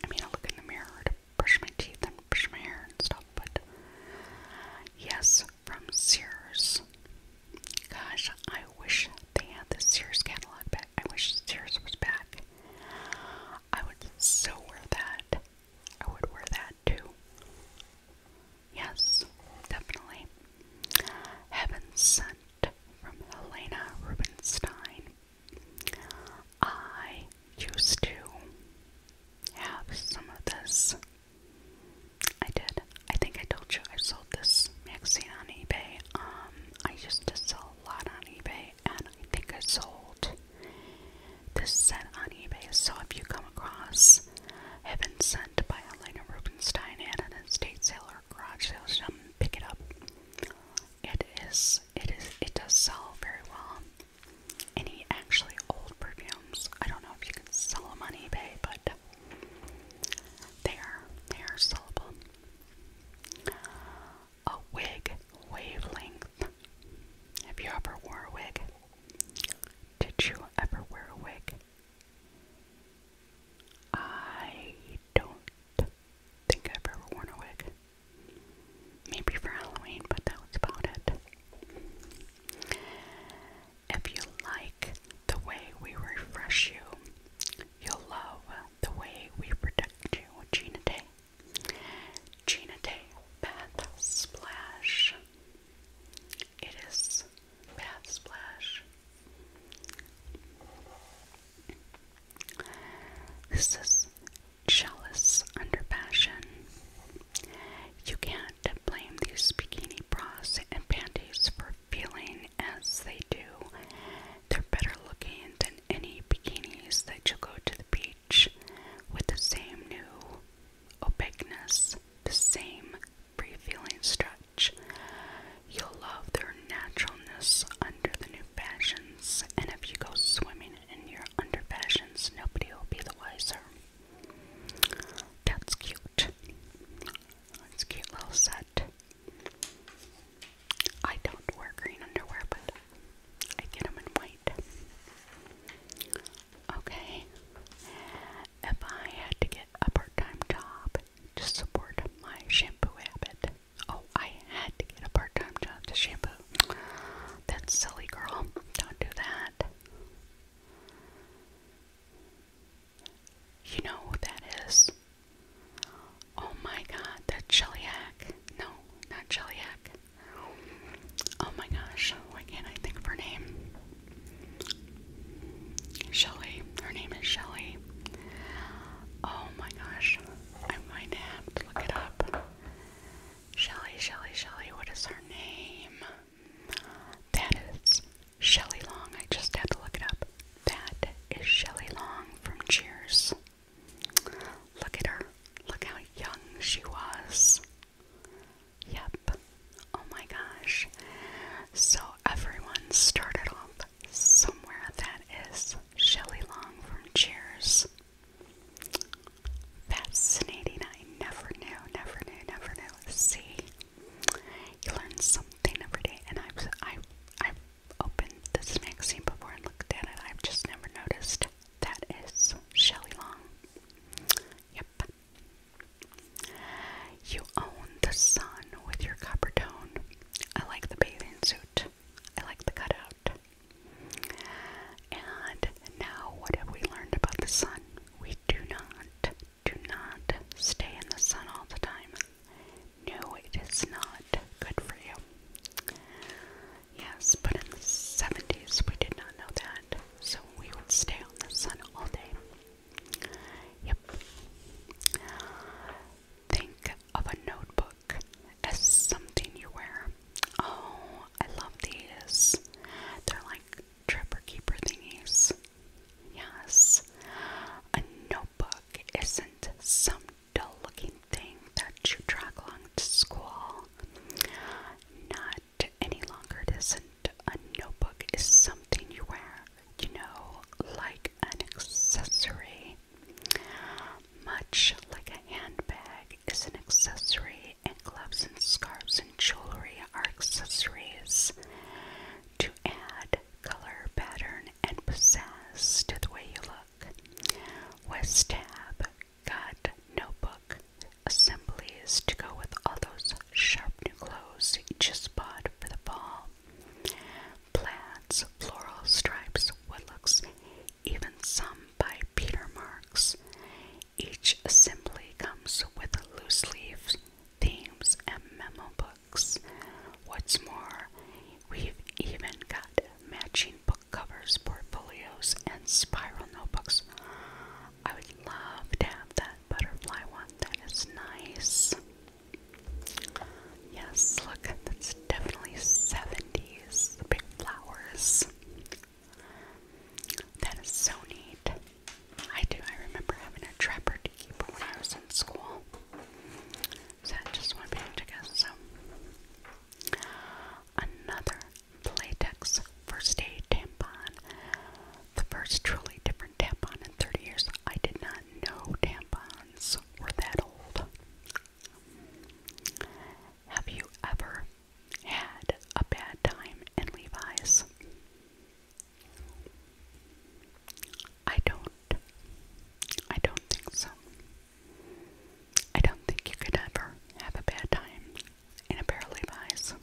I mean, I look in the mirror to brush my teeth and brush my hair and stuff, but yes, from Sears. Gosh, I wish they had the Sears catalog back. I wish Sears was back. I would so wear that. I would wear that too. Yes, definitely. Heaven Sent from Helena Rubinstein. I used to have some of this I did. I think I told you I sold this magazine on eBay. Um, I used to sell a lot on eBay, and I think I sold this set on eBay. So if you come across Heaven Sent by Elena Rubinstein at an estate sale or garage sale, so pick it up. It is, it is, it does sell very well. Any actually old perfumes. I don't know if you can sell them on eBay, but they are syllable. A wig wavelength. Have you ever wore a wig? Did you ever wear a wig? I don't think I've ever worn a wig. Maybe for Halloween, but that was about it. If you like the way we refresh you, you'll love the way we protect you. Gina Day. Gina Day Bath Splash. It is Bath Splash. This is jealous under passion. You can't blame these bikini bras and panties for are feeling as they do. They're better looking than any bikinis that you go to the beach with the same new opaqueness, the same free feeling stretch. You'll love their naturalness under the new fashions, and if you go swimming in your under fashions, nobody will be the wiser. That's cute. That's cute little set. I don't wear green underwear, but I get them in white. Okay. If I had to get a part time job to support my shampoo habit, oh, I had to get a part time job to shampoo. That's silly, girl. Don't do that. You know who that is? Oh my god, that Cheliac. No, not Cheliac. Oh my gosh, why can't I think of her name? Shelly. Her name is Shelly. Oh my gosh. I'm going to have to look it up. Shelly, Shelly, Shelly, what is her name? That is Shelley Long, I just had to look it up. That is Shelley Long from Cheers. Look at her. Look how young she was. Yep. Oh my gosh. So everyone started off somewhere. That is Shelley Long from Cheers. Fascinating. I never knew, never knew, never knew. See, you learn something every day, and I've i i opened this magazine before and looked at it. I've just never noticed that is Shelley Long. Yep. You own the sun with your copper tone. I like the bathing suit. I like the cutout. And now, what have we learned about the sun? We do not do not stay in the sun all the time. No, it is not good for you. Yes, but in the 70s we did not know that, so we would stay on the sun all day. Yep. Think of a notebook as something you wear. Oh, I love these. They're like trapper keeper thingies. Yes. A notebook book isn't some dull looking thing that you drag along to school. Not any longer, it isn't. A notebook is something you wear, you know, like an accessory. Much like a handbag is an accessory, and gloves and scarves and jewelry are accessories to add color, pattern, and pizzazz to the way you look. West Tab got notebook assemblies to go with all those sharp new clothes you just bought for the fall. Plants, floral stripes, looks, even some by Peter Marks. Each assembly comes with loose leaves, themes and memo book. What's more, we've even got matching book covers, portfolios, and spiral notebooks. I would love to have that butterfly one. That is nice. Yes, look, that's definitely 70s. big flowers. That is so neat. I do. I remember having a trapper keeper when I was in school. So I just want to guess. So another latex first aid tampon. The first truly different tampon in 30 years. I did not know tampons were that old. Have you ever had a bad time in Levi's? I don't. I don't think so. I don't think you could ever have a bad time in a barrel of eyes.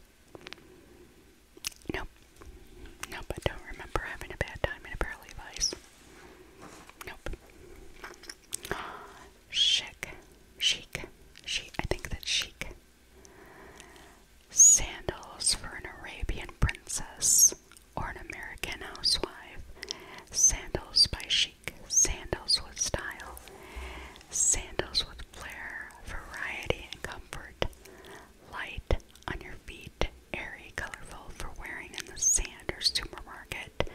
Nope. Nope, I don't remember having a bad time in a barrel of eyes. Nope. Chic. Chic. Chic. I think that's chic. Sandals for an Arabian princess or an American housewife. Sandals by chic, sandals with style, sandals with flair, variety, and comfort. Light on your feet, airy, colorful for wearing in the sand or supermarket.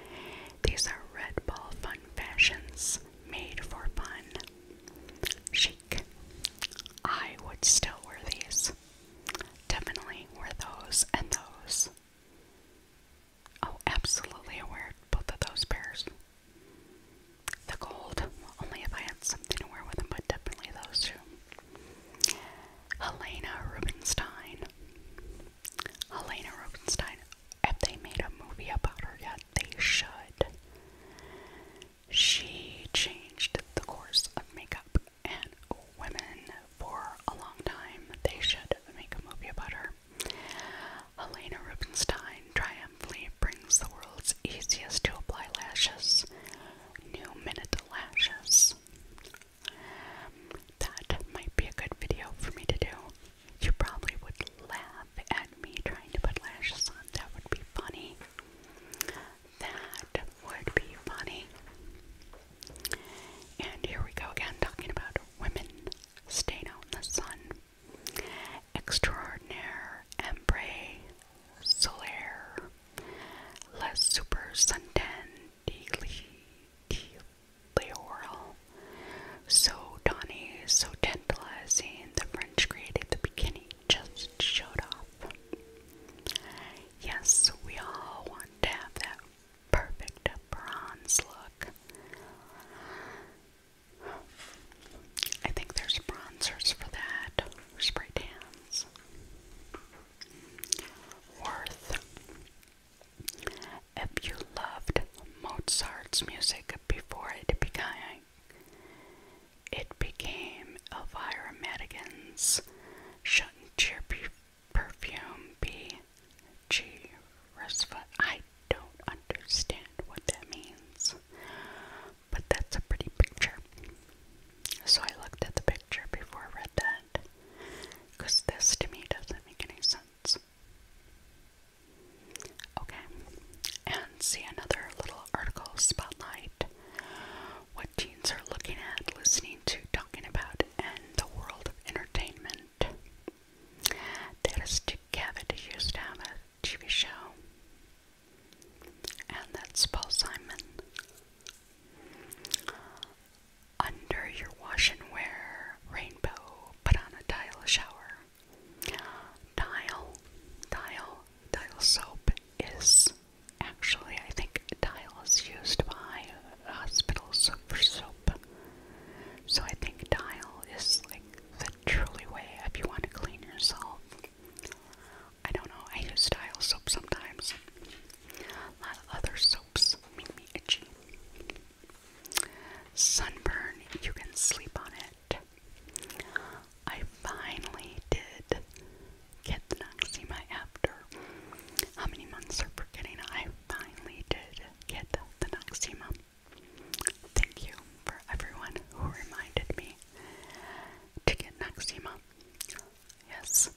These are Red Ball Fun Fashions made for fun. Chic. I would still wear these. Definitely were those and those. Oh, absolutely, aware of both of those pairs. The gold, only if I had something to wear with them, but definitely those two. Helena Rubinstein. Helena Rubinstein. If they made a movie about her yet? They should. She changed the course of makeup and women for a long time. They should make a movie about her. Helena Rubinstein triumphantly brings the world's easiest to apply lashes, new minute lashes. That might be a good video for me to do. You probably would laugh at me trying to put lashes on. That would be funny that would be funny. And here we go again, talking about women staying out in the sun. Extraordinaire ombre solaire, la super suntan de laurel. So Donny, so tantalizing, the French created the bikini just showed off. Yes, we all want to have that perfect bronze look. I think there's bronzers for that, spray tans. Worth. If you loved Mozart's music before it began, it became Elvira Madigan's shouldn't cheer perfume B.G. Rusva. I don't understand what that means, but that's a pretty picture. So I looked at the picture before I read that, because this to me doesn't make any sense. Okay, and see another little article spotlight what teens are looking at, listening to, talking about, and the world of entertainment. That is Dick Cavett used to have a TV show. And that's Paul Simon. Under your wash and wear rainbow, put on a tile shower. Dial, dial, dial soap is Actually, I think Dial is used by hospitals for soap. So I think Dial is like the truly way if you want to clean yourself. I don't know, I use Dial soap sometimes. A lot of other soaps make me itchy. Sunburn, you can sleep on it. I finally did get the Noxema after how many months are forgetting? I finally did get the Noxema. Thank you for everyone who reminded me to get Noxema. Yes,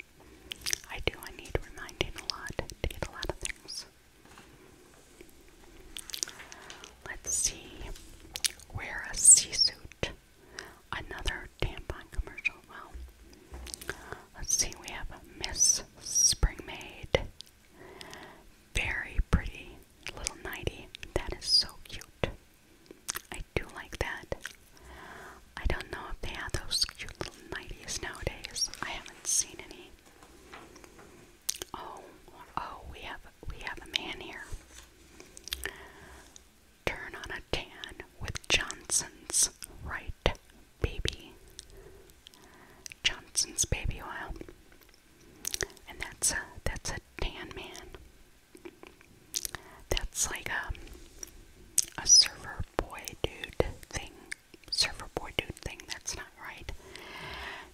I do. I need reminding a lot to get a lot of things. Let's see. Wear a sea suit. Another tampon commercial. Well. Let's see, we have Miss Springmaid. Very pretty little nightie. That is so cute. I do like that. I don't know if they have those cute little nighties nowadays. I haven't seen any. Oh, oh, we have we have a man here. Turn on a tan with Johnson's right baby, Johnson's baby oil, and that's a that's a tan man. That's like um, a a surfer boy dude thing, Server boy dude thing. That's not right.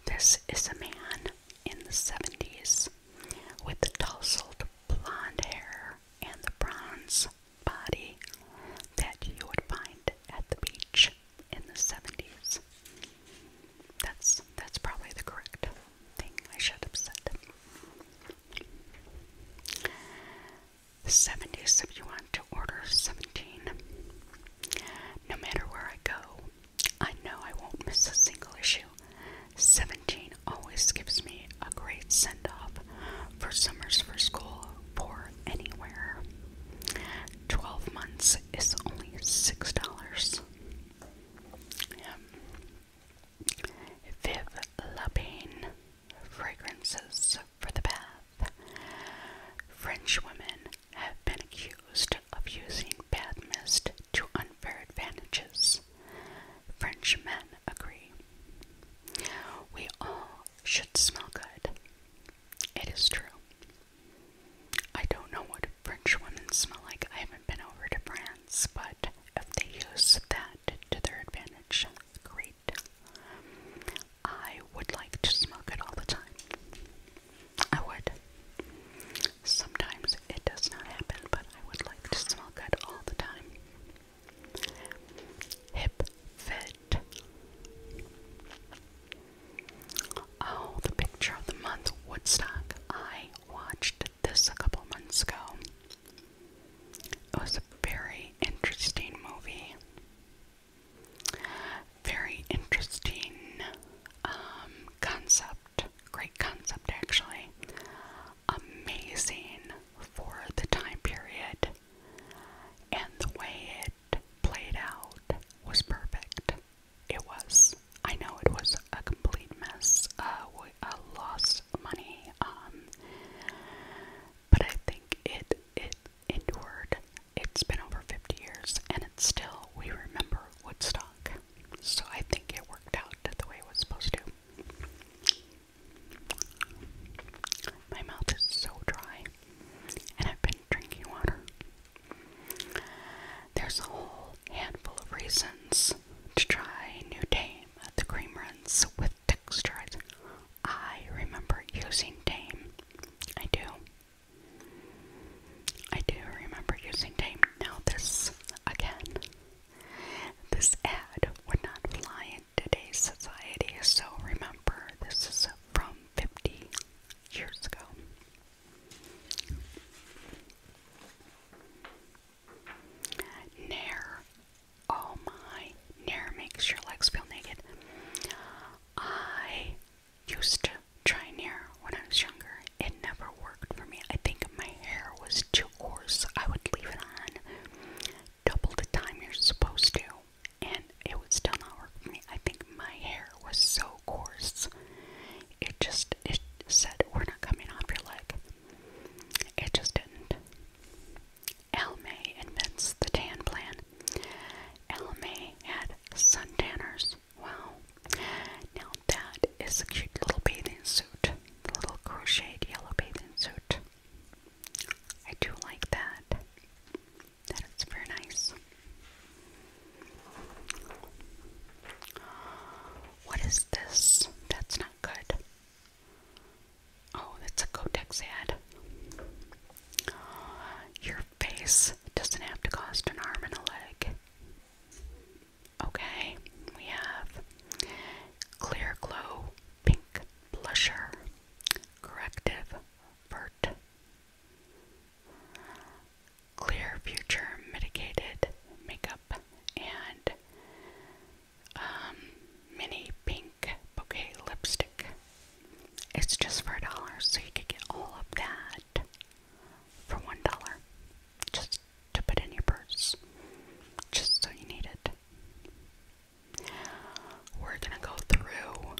This is a man in the seventies with the tousled blonde hair and the bronze body that you would find at the beach in the 70s. That's that's probably the correct thing I should have said. The 70s if you want to order 17. No matter where I go, I know I won't miss a single issue. 17 always gives me a great send off for summers for school for anywhere. 12 months is only $6. Yeah. Viv Lapine fragrances for the bath. French women have been accused of using bath mist to unfair advantages. French men agree. We all should smell good. It is true. I don't know what French women smell like. I haven't been over to France, but if they use that to their advantage, great. I would like to smell good all the time. I would. Sometimes it does not happen, but I would like to smell good all the time. Hip fit. Oh, the picture of the month, Woodstock. I watched this a couple months ago. It was a very interesting movie. Very interesting um, concept. Great concept, actually. Amazing for the time period. And the way it played out was perfect. It was. I know it was a complete mess. Uh, we uh, lost money. Um, but I think it it endured. It's been over 50 years, and it's still we remember Woodstock. So I think it worked out the way it was supposed to. My mouth is so dry, and I've been drinking water. There's a whole handful of reasons to try New Dame the cream rinse with textures. I remember using Dame. I do. I do remember using Dame. Now, this again, this ad would not fly today's society. So remember, this is from 50 years ago. Nair. Oh my. Nair makes your legs feel naked. I used to try Nair when I was younger. It never worked for me. I think my hair was too coarse. I would leave it on double the time you're supposed to and it would still not work for me. I think my hair was so coarse. It just it said we're not coming off your leg. It just didn't. Elle May invents the tan plan. Elle May had suntanners. Wow. Now that is a cute little bathing suit. little crocheted yellow bathing suit. I do like that. That is very nice. What is this? That's not good. Oh, that's a Kotex ad. Your face doesn't have to cost an arm and a leg. Okay, we have Clear Glow Pink Blusher Corrective Bert. Clear Future Mitigated Makeup and um, Mini Pink Bouquet Lipstick. It's just for a dollar, so you could get all of that for one dollar. Just to put in your purse. Just so you need it. We're gonna go through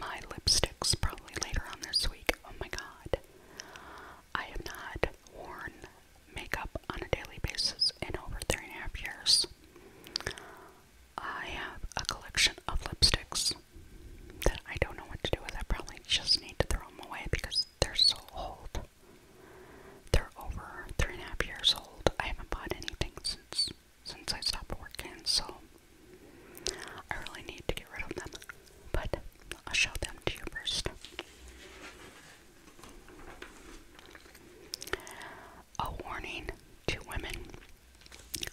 my lipsticks probably later on this week. Oh my god. I have not worn makeup on a daily basis in over three and a half years. I have a collection of lipsticks that I don't know what to do with. I probably just need to throw them away because they're so old. They're over three and a half years old. I haven't bought anything since since I stopped working, so I really need to get rid of them. But I'll show them to you first. A warning to women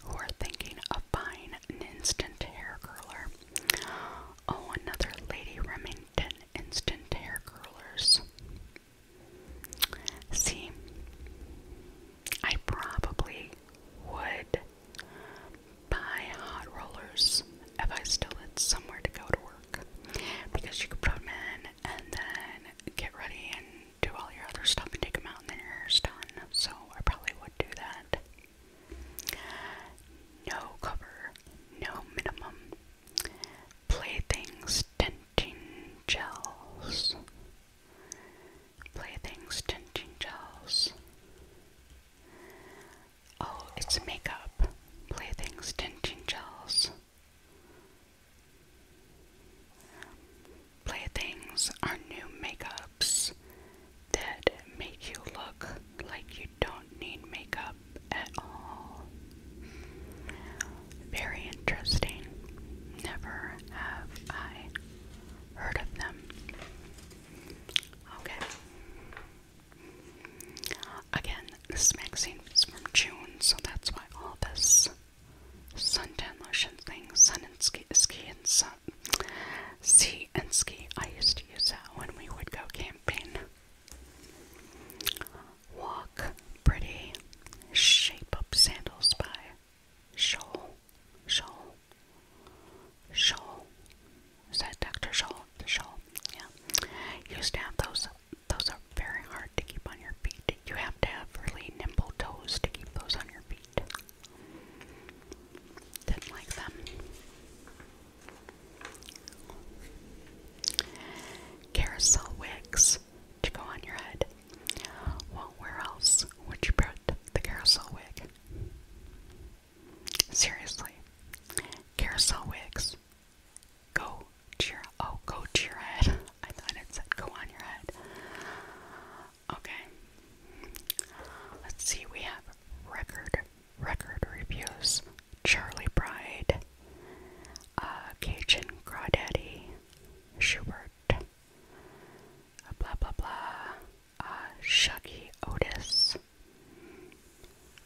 who are thinking of buying an instant hair curler. Oh, another Lady Remington instant hair curlers. See, I probably would buy hot rollers if I still had somewhere to go to work because you could put them in and then get ready and do all your other stuff and take them out and then your hair's done. So I probably would do that. No cover, no minimum. Playthings denting gels. Playthings, Tinting Gels. Oh, it's makeup. Playthings, Tinting Gels. Playthings are new makeups that make you look like you don't need makeup at all. Very interesting. Never have I heard of them. Okay. Again, this magazine is from June, so that's why all this suntan lotion thing, sun and ski, ski and sun, sea and ski. I used to use that when we would go camping. Walk pretty, shape up sandals by Scholl, Scholl, Scholl. Is that Dr. Scholl? Scholl, yeah. Used to those. Those are very hard to keep on your feet. You have to have really nimble toes to keep those on your feet. Didn't like them. Carousel wigs to go on your head. Well, where else would you put the carousel wig? Seriously, carousel wigs go to your oh go to your head. [laughs] I thought it said go on your head. Okay, let's see. We have record record reviews. Charlie Bride, uh, Cajun Crawdaddy, Schubert blah blah blah, uh, Otis.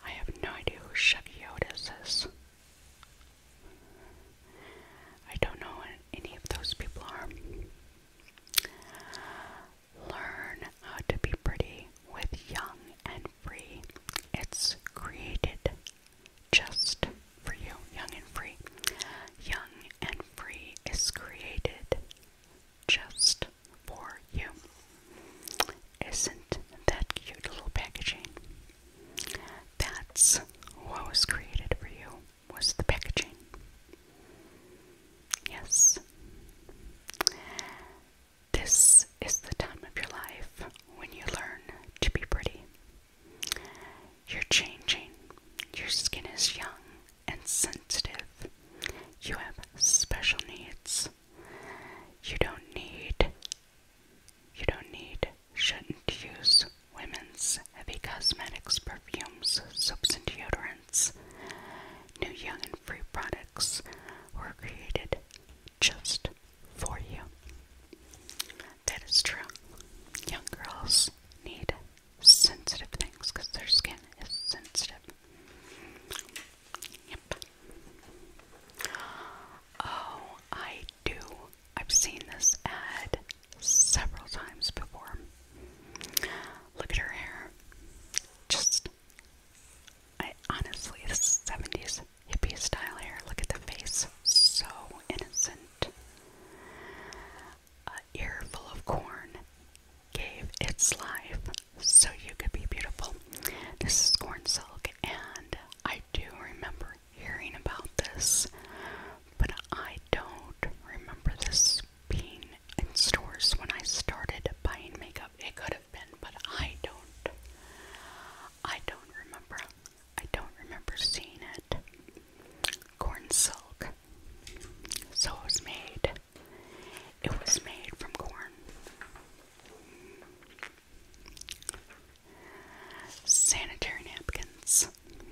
I have no idea who Shuggy Otis is. I don't know what any of those people are. Learn how to be pretty with Young and Free. It's created just for you, Young and Free. Young and Free is created just for you. Isn't that cute little packaging? That's what was created for you, was the packaging. Yes. This is the time of your life when you learn to be pretty. You're changing. Your skin is young and sensitive. You have special needs. You don't need, you don't need, shouldn't use women's heavy cosmetics, perfumes, soaps, and deodorants. New young and free products were created just for you. That is true. Young girls need sensitive things because their skin is sensitive. Yep. Oh, I do. I've seen this ad several times before. Look at her hair. Just, I honestly, this 70s hippie style hair. Look at the face. So innocent an earful of corn gave its life so you could be beautiful. This is corn silk, and I do remember hearing about this, but I don't remember this being in stores when I started buying makeup. It could have been, but I don't. I don't remember. I don't remember seeing it. Corn silk. So it was made. It was made from corn. Sanitary napkins.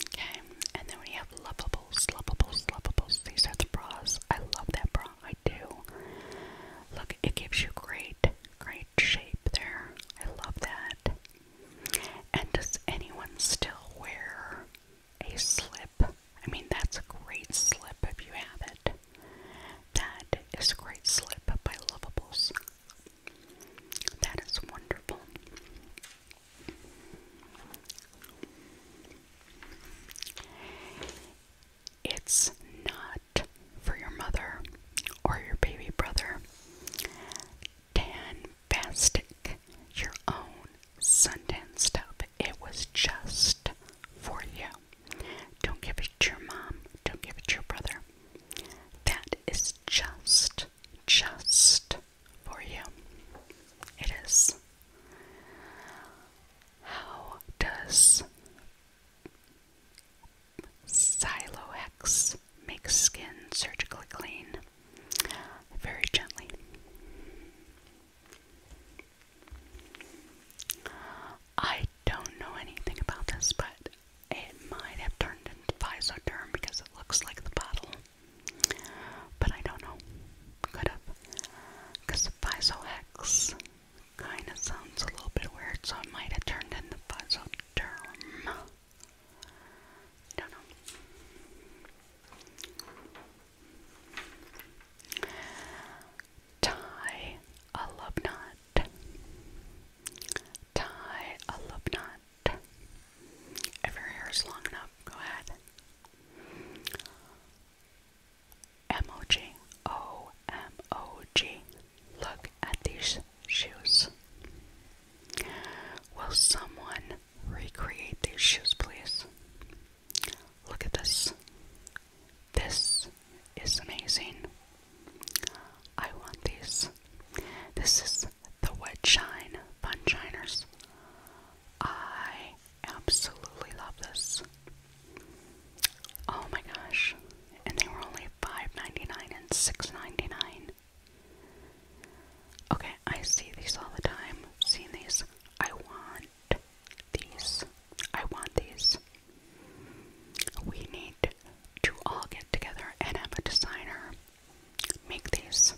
Okay, and then we have lovables, lovables, lovables. These are the bras. I love that bra. I do. Look, it gives you great, great shape there. I love that. And does anyone still wear a slip. I mean, that's a great slip if you have it. That is a great slip by Lovables. That is wonderful. It's not for your mother or your baby brother fantastic your own suntan stuff. It was just for you. Don't give it to your mom. Don't give it to your brother. That is just, just for you. It is. How does Silox make skin surgically clean? very gently. I don't know anything about this, but it might have turned into Physoderm because it looks like the bottle. But I don't know. Could have. Because Physohex kind of sounds a little bit weird, so it might have turned into Physoderm. I don't know. Tie a love knot. Tie a love knot. If your hair is long enough, go ahead. M-O-G. O-M-O-G. Look at these shoes. Will someone recreate these shoes, please. Look at this. This is amazing. I want these. This is the Wet Shine Fun Shiners. I absolutely love this. Oh my gosh. And they were only $5.99 and $6.99. Okay, I see these all the time. Seen these. I want these. I want these. We need to all get together and have a designer make these.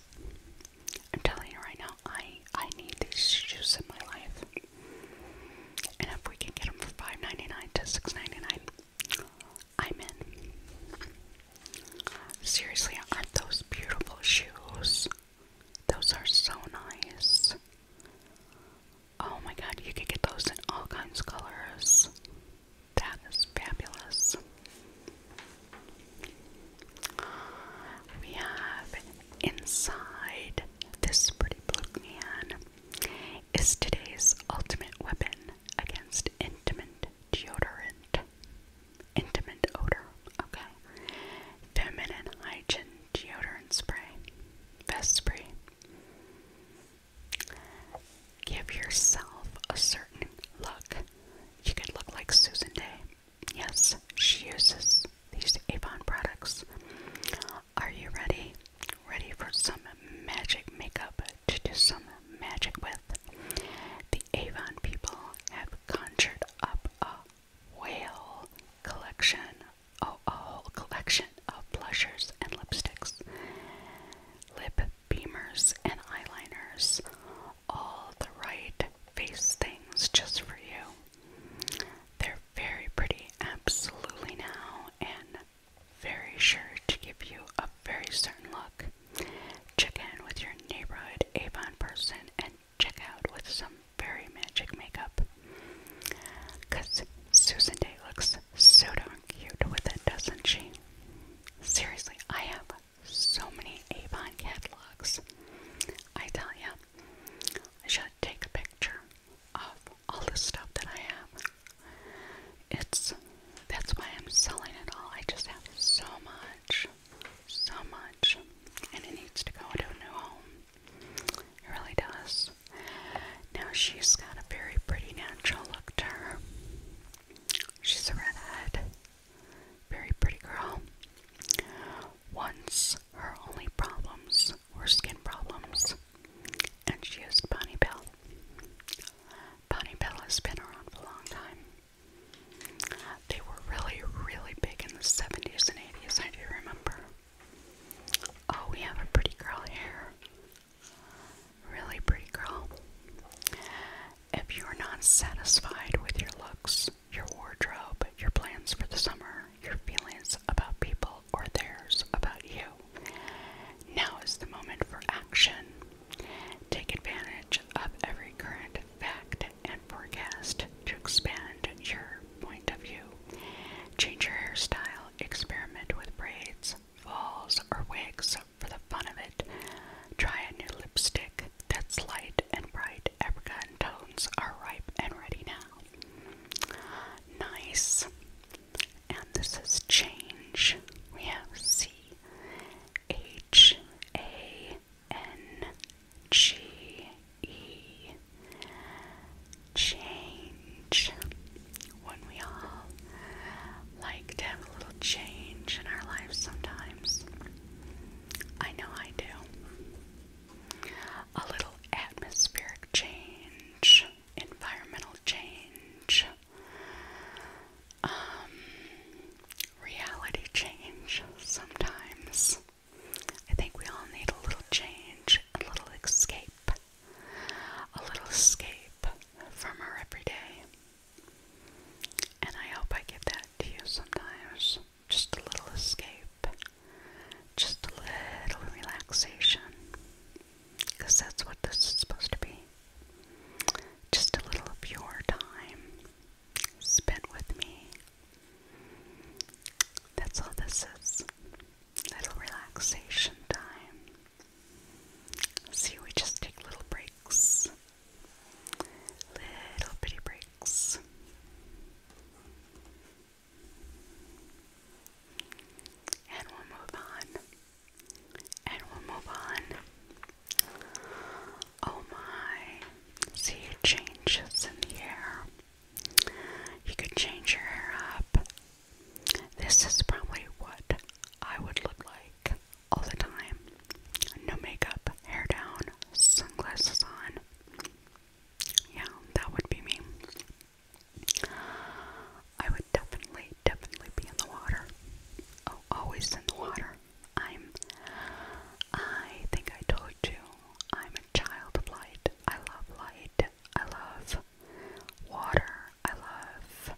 I'm telling you right now, I I need these shoes in my life. And if we can get them for 5 to 6 I'm in. Seriously, aren't those beautiful shoes? Those are so nice. Oh my god, you could get those in all kinds of colors. That is fabulous. We have inside this pretty blue can is today's ultimate weapon against intimate deodorant intimate odor. Okay. Feminine hygiene deodorant spray. Vest Give yourself a certain look. You could look like Susan Day. Yes, she uses these Avon products. Are you ready? Ready for some magic makeup to do some magic with? The Avon people have conjured up a whale collection, oh, a whole collection of blushers and lipsticks, lip beamers and eyeliners, all the right face things just for you. They're very pretty, absolutely now, and very sure to give you a very certain look. Check in with your neighborhood Avon person and check out with some very magic makeup. Susan Day looks so darn cute with it, does she? Seriously, I have so many Avon catalogs. I tell ya, I should take a picture of all the stuff that I have. It's that's why I'm selling it all. I just have so much so much, and it needs to go to a new home. It really does. Now she's got a very pretty natural look to her. She's a redhead, very pretty girl. Once her only problems were skin problems, and she used Bonnie Bell. Bonnie Bell has been around for a long time. They were really, really big in the 70s and 80s, I do remember. Oh, we have a pretty girl here. Really pretty girl. If you're not satisfied with your looks, your wardrobe, your plans for the summer, your feelings about people or theirs about you, now is the moment for action. Take advantage of every current fact and forecast to expand your point of view. Change your hairstyle, experiment with braids, falls, or wigs for the fun of it. Try a new lipstick that's light and bright. Apricot tones are ripe and ready now. Nice. And this is change. We have C H A N G E change. When we all like to have a little change in our lives sometimes. I know I do. A little atmospheric change, environmental change, um, reality change sometimes. I think we all need a little change, a little escape, a little escape from our everyday. And I hope I give that to you sometimes. Just a little escape, just a little relaxation. Because that's what this is supposed to be. Just a little of your time spent with me, that's all this is. Little relaxation time. See, we just take little breaks. Little bitty breaks. And we'll move on. And we'll move on. Oh my. See your changes in hair. You could change your hair up. This is probably what I would look like all the time. No makeup, hair down, sunglasses on. Yeah, that would be me. I would definitely, definitely be in the water. Oh, always in the water. I'm. I think I told you I'm a child of light. I love light. I love water. I love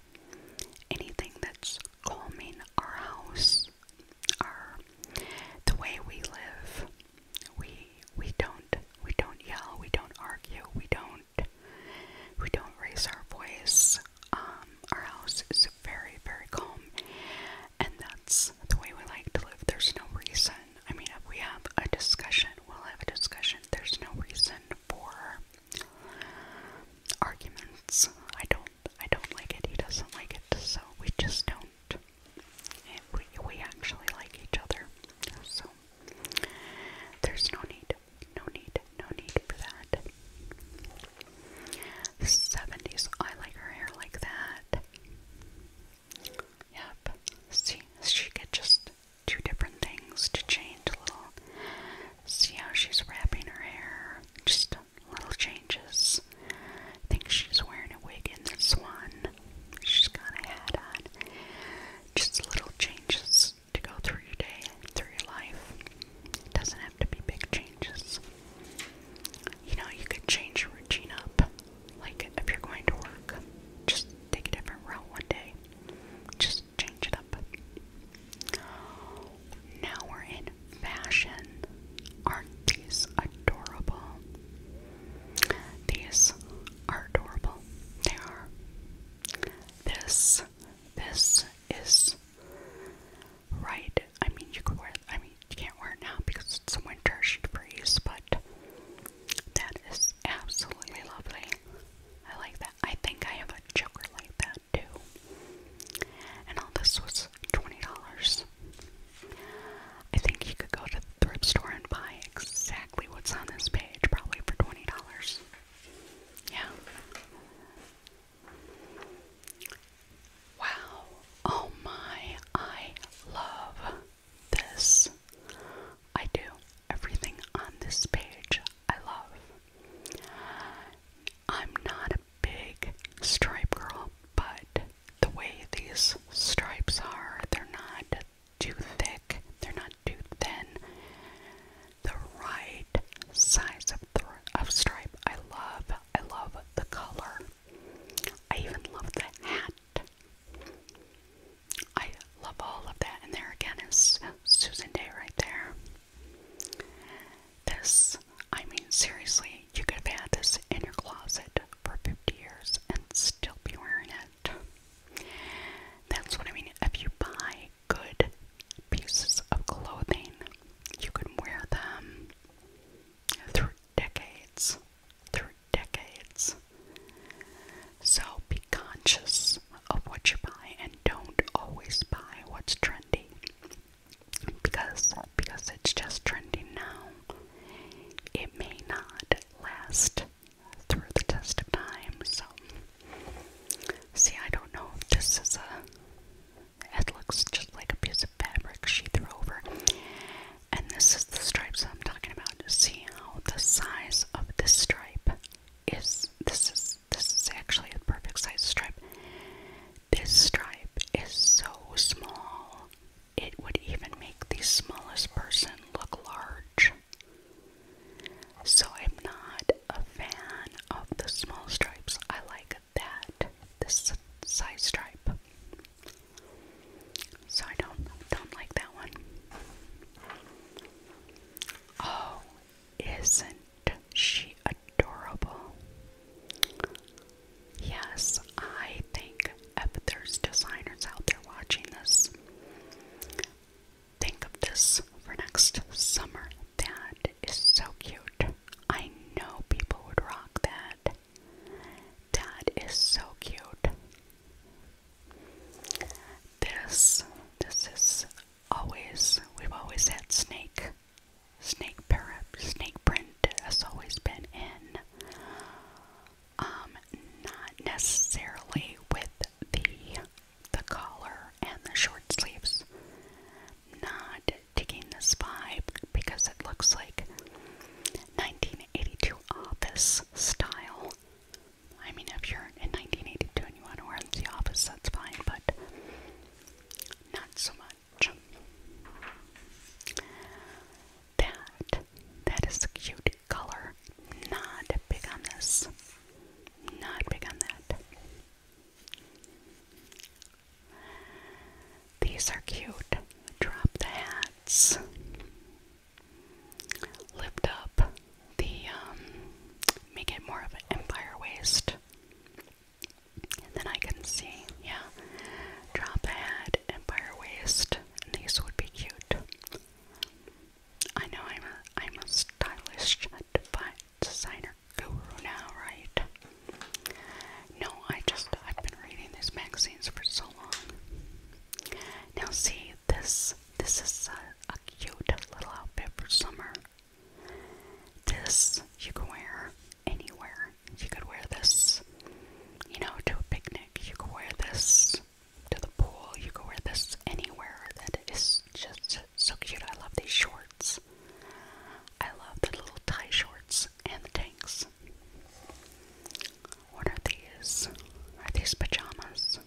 anything that's calming our house, our the way we live. We we don't we don't yell, we don't argue, we don't we don't raise our voice. Um, our house is very, very calm. And that's the way we like to live. There's no reason. I mean, if we have a discussion, we'll have a discussion. There's no reason for arguments. I don't I don't like it. He doesn't like it. So we just don't. And we we actually like each other. So there's no need. No need. No need for that. 70s. I like her hair like that. Yep. See, she could just do different things to change a little. See how she's wrapping her hair. Just little changes. think she's wearing a wig in this one. She's got a hat on. Just little changes to go through your day, through your life. It doesn't have to be big changes. You know, you could change your routine up. Like, if you're going to work, just take a different route one day. Just change it up. Now we're in fashion. Aren't these adorable? These are adorable. They are. This, this is right. I mean, you could wear I mean, you can't wear it now because it's winter, she'd freeze, but that is absolutely lovely. I like that. I think I have a choker like that too. And all this was $20. I think you could go to the thrift store and buy exactly what's on this page, probably for $20. Yeah. Wow. Oh my, I love this. I do. Everything on this page I love. I'm not a big stripe girl, but the way these stripes are, they're not too thick, they're not too thin. The right size of, th of stripe I love. I love the color. I even love the hat. I love all of that, and there again is Susan Day right there. This, I mean, seriously, you could have had this in your closet for 50 years and still be wearing it. That's what I mean. If you buy good pieces of clothing, you can wear them through decades, through decades. So be conscious of what you buy and don't always buy what's trendy. Because because it's just trendy now. It may not last through the test of time. So see I don't know if this is a it looks just like a piece of fabric she threw over. And this is the stripes I'm talking about. See how the size of this stripe is this is this is actually a perfect size stripe. This stripe is so small it would even make the smallest person look large. So I'm not a fan of the small stripes. I like that this size stripe. So I don't don't like that one. Oh, isn't she adorable? Yes, I think if there's designers out there watching this, think of this for next summer. That is so cute. I know people would rock that. That is so cute. This, this is always, we've always had snake, snake parrot, snake print has always been in. Um, not necessarily with the the collar and the short sleeves. Not taking this vibe because it looks like 19 1982 office style. I mean, if you're in 1982 and you want to wear it the office, that's fine, but not so much. That, that is a cute color. Not big on this. Not big on that. These are cute. Drop the hats lift up the, um, make it more of an empire waist. then I can see, yeah, drop head, empire waist, these would be cute. I know I'm a, I'm a stylish designer guru now, right? No, I just, I've been reading these magazines for so long. Now see this this is a, cute little outfit for summer. This you can wear anywhere. You could wear this, you know, to a picnic. You could wear this to the pool. You could wear this anywhere. That is just so cute. I love these shorts. I love the little tie shorts and the tanks. What are these? Are these pajamas?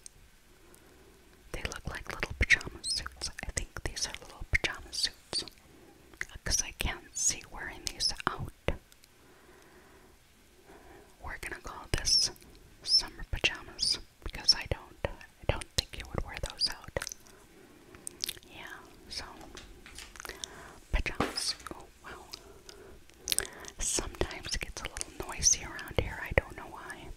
They look like little pajama suits. I think these are little pajama suits because I can't see wearing these out. We're gonna call this summer pajamas because I don't, I don't think you would wear those out. Yeah, so pajamas. Wow. Sometimes it gets a little noisy around here. I don't know why.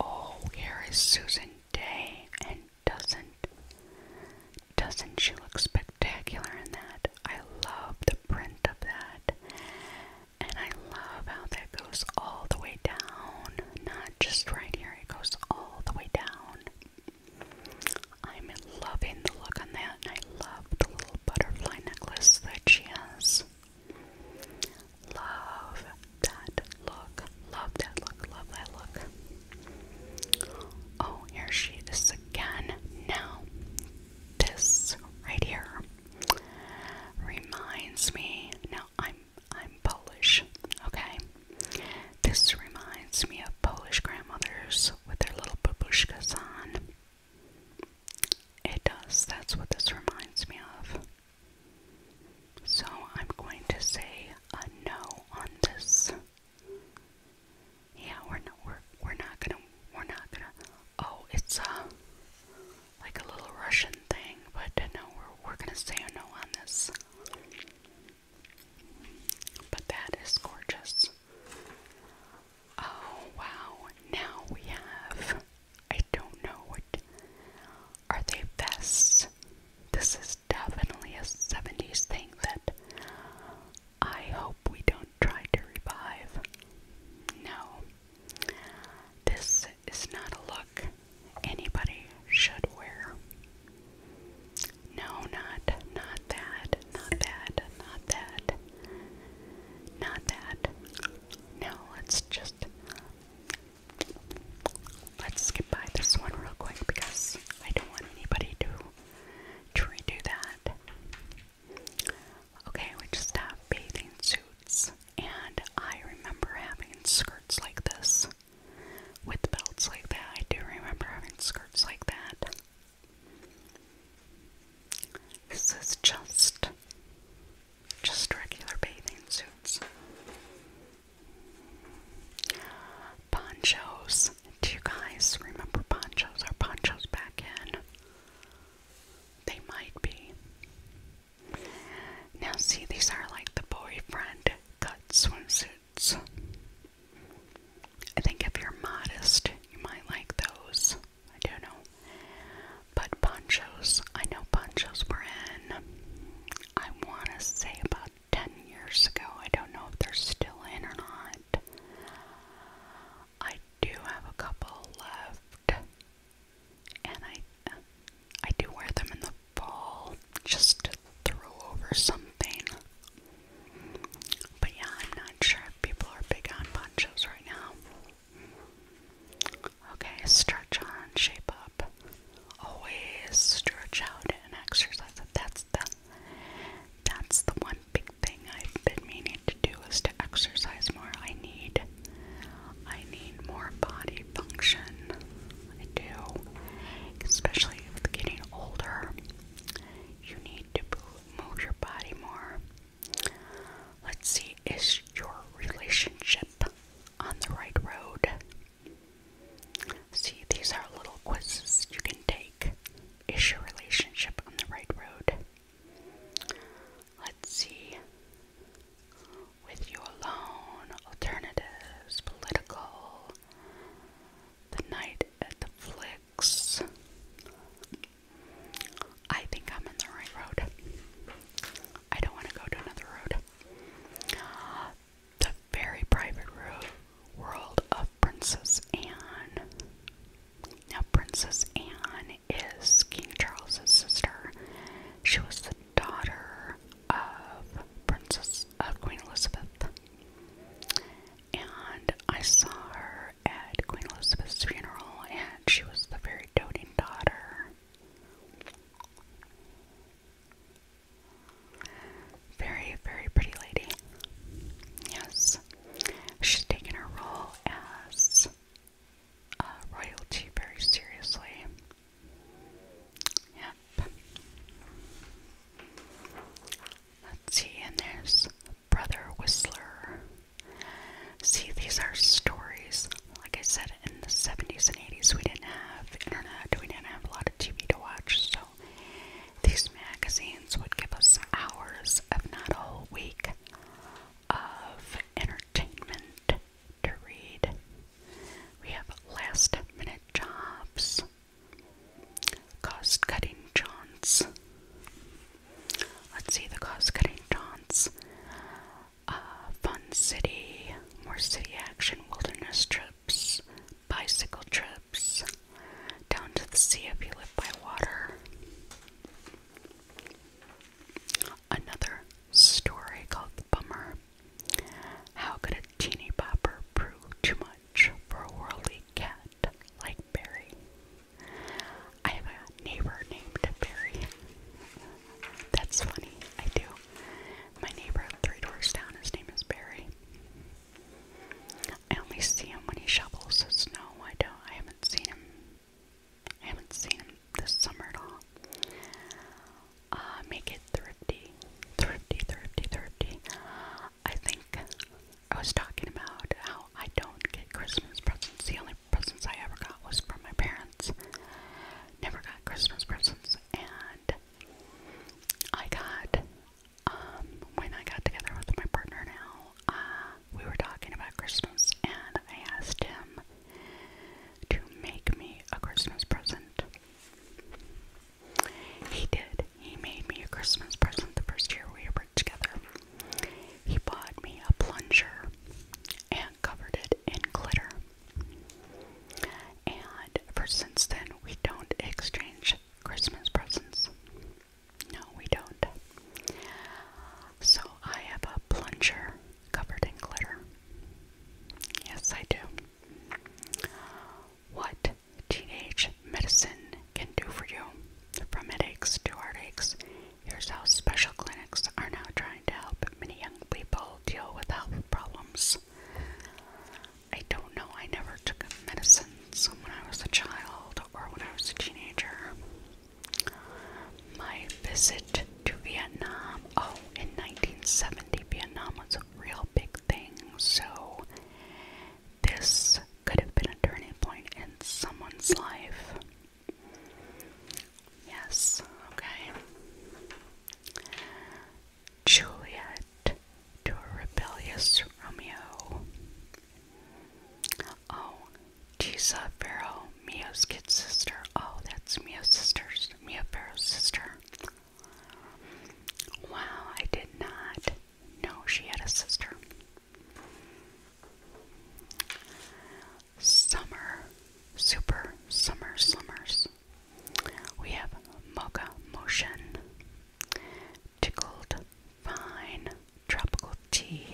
Oh, here is Susan Day, and doesn't doesn't she look spectacular in that? I love the print of that, and I love how that goes all the way down, not just right here. It goes all the way down. I'm in Loving the look on that, and I love the little butterfly necklace that she has. Love that look, love that look, love that look. Oh, here she is again. Now, this right here reminds me. Now, I'm I'm Polish, okay. This reminds me of Polish grandmothers with their little babushkas on. It does. That's what this reminds me of. So I'm going to say a no on this. Yeah, we're not. We're we're not gonna. We're not gonna. Oh, it's a like a little Russian thing, but no, we're we're gonna say a no on this. But that is gorgeous this. Oh wow, now we have. I don't know what. Are they vests? This is definitely a 70s thing that I hope we don't try to revive. No. This is not a look anybody should wear. No, not not that, not that, not that. Not that. No, let's just let's skip by this one real quick because I don't want anybody to to redo that. Okay, we just have bathing suits, and I remember having skirts like this with belts like that. I do remember having skirts like that. This is just just regular bathing suits. Ponchos. Do you guys remember ponchos? Are ponchos back in? They might be. Now see these are like the boyfriend cut swimsuits. I think if you're modest, you might like those. I don't know. But ponchos, I know ponchos were in, I want to say about 10 years ago. I don't know if they're still in or not. I do have a couple left, and I, I do wear them in the fall just to throw over something. But yeah, I'm not sure if people are big on ponchos right now. Okay, stretch on, shape up. Always stretch out and exercise. That's the that's the one big thing I've been meaning to do is to exercise more. I need I need more body function. I do. Especially with getting older. You need to move your body more. Let's see, is your relationship on the right road? See, these are little quizzes you can take. Is your relationship on the right road? Let's see. With you alone, alternatives, political, the night at the flick, I think I'm in the right road. I don't want to go to another road. The very private world of Princess Anne. Now, Princess Anne is King Charles's sister. She was the daughter of Princess uh, Queen Elizabeth, and I saw her at Queen Elizabeth's funeral, and she was the very doting daughter. Very, very pretty lady. Yes. She's taken her role as uh, royalty very seriously. Yep. Let's see, and there's Brother Whistler. See, these are stories. Like I said, in the 70s and 80s, we didn't have internet, we didn't have a lot of TV to watch, so these magazines would give us hours, if not a whole week, of entertainment to read. We have last minute jobs, cost cutting jaunts, Let's see the cost cutting taunts. Uh, fun city, more city action, wilderness trips, bicycle trips, down to the sea if you live by water. Another story called The Bummer. How could a teeny bopper prove too much for a worldly cat like Barry? I have a neighbor named Barry. That's funny, I do. My neighbor three doors down, his name is Barry. I only see him when he shovels the snow. I don't I haven't seen him I haven't seen him this summer at all. Uh, make it thrifty. Thrifty, thrifty, thrifty. I think I was talking about how I don't get Christmas presents. The only presents I ever got was from my parents. Never got Christmas presents, and I got, um, when I got together with my partner now, uh, we were talking about Christmas, and I asked him to make me a Christmas present. He did. He made me a Christmas present the first year we were together. He bought me a plunger and covered it in glitter. And ever since then, we don't exchange Christmas presents. No, we don't. So I have a plunger covered in glitter. Yes, I do. What teenage medicine can do for you, from headaches to heartaches Here's how special clinics are now trying to help many young people deal with health problems. I don't know, I never took medicines when I was a child or when I was a teenager. My visit to Vietnam, oh, in 1970, Vietnam was a real big thing, so this could have been a turning point in someone's life. Yes, okay. Juliet to a rebellious Romeo. Oh, Tisa Pharaoh, Mia's kid sister. Oh, that's Mia's sister's Mia Farrow's sister. Wow, I did not know she had a sister summer, super summer slummers. We have Mocha Motion, Tickled Fine, Tropical Tea,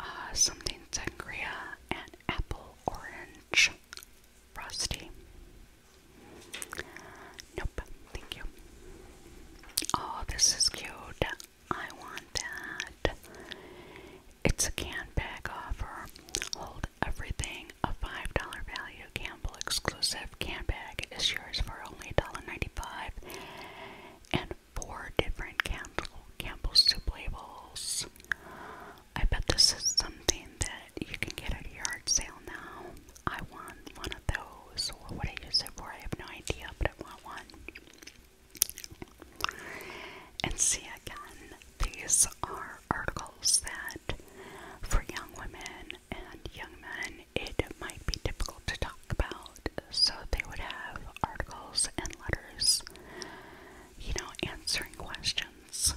uh, Something Sangria, and Apple Orange Frosty. Nope, thank you. Oh, this is cute. I want that. It's a can bag offer. Hold everything. A $5 value Campbell exclusive can bag is yours for only $1.95. And four different Campbell, Campbell soup labels. I bet this is something that you can get at a yard sale now. I want one of those. What would I use it for? I have no idea, but I want one. And see again, these are articles that for young women and young men it might be difficult to talk about. So they would have articles and letters, you know, answering questions.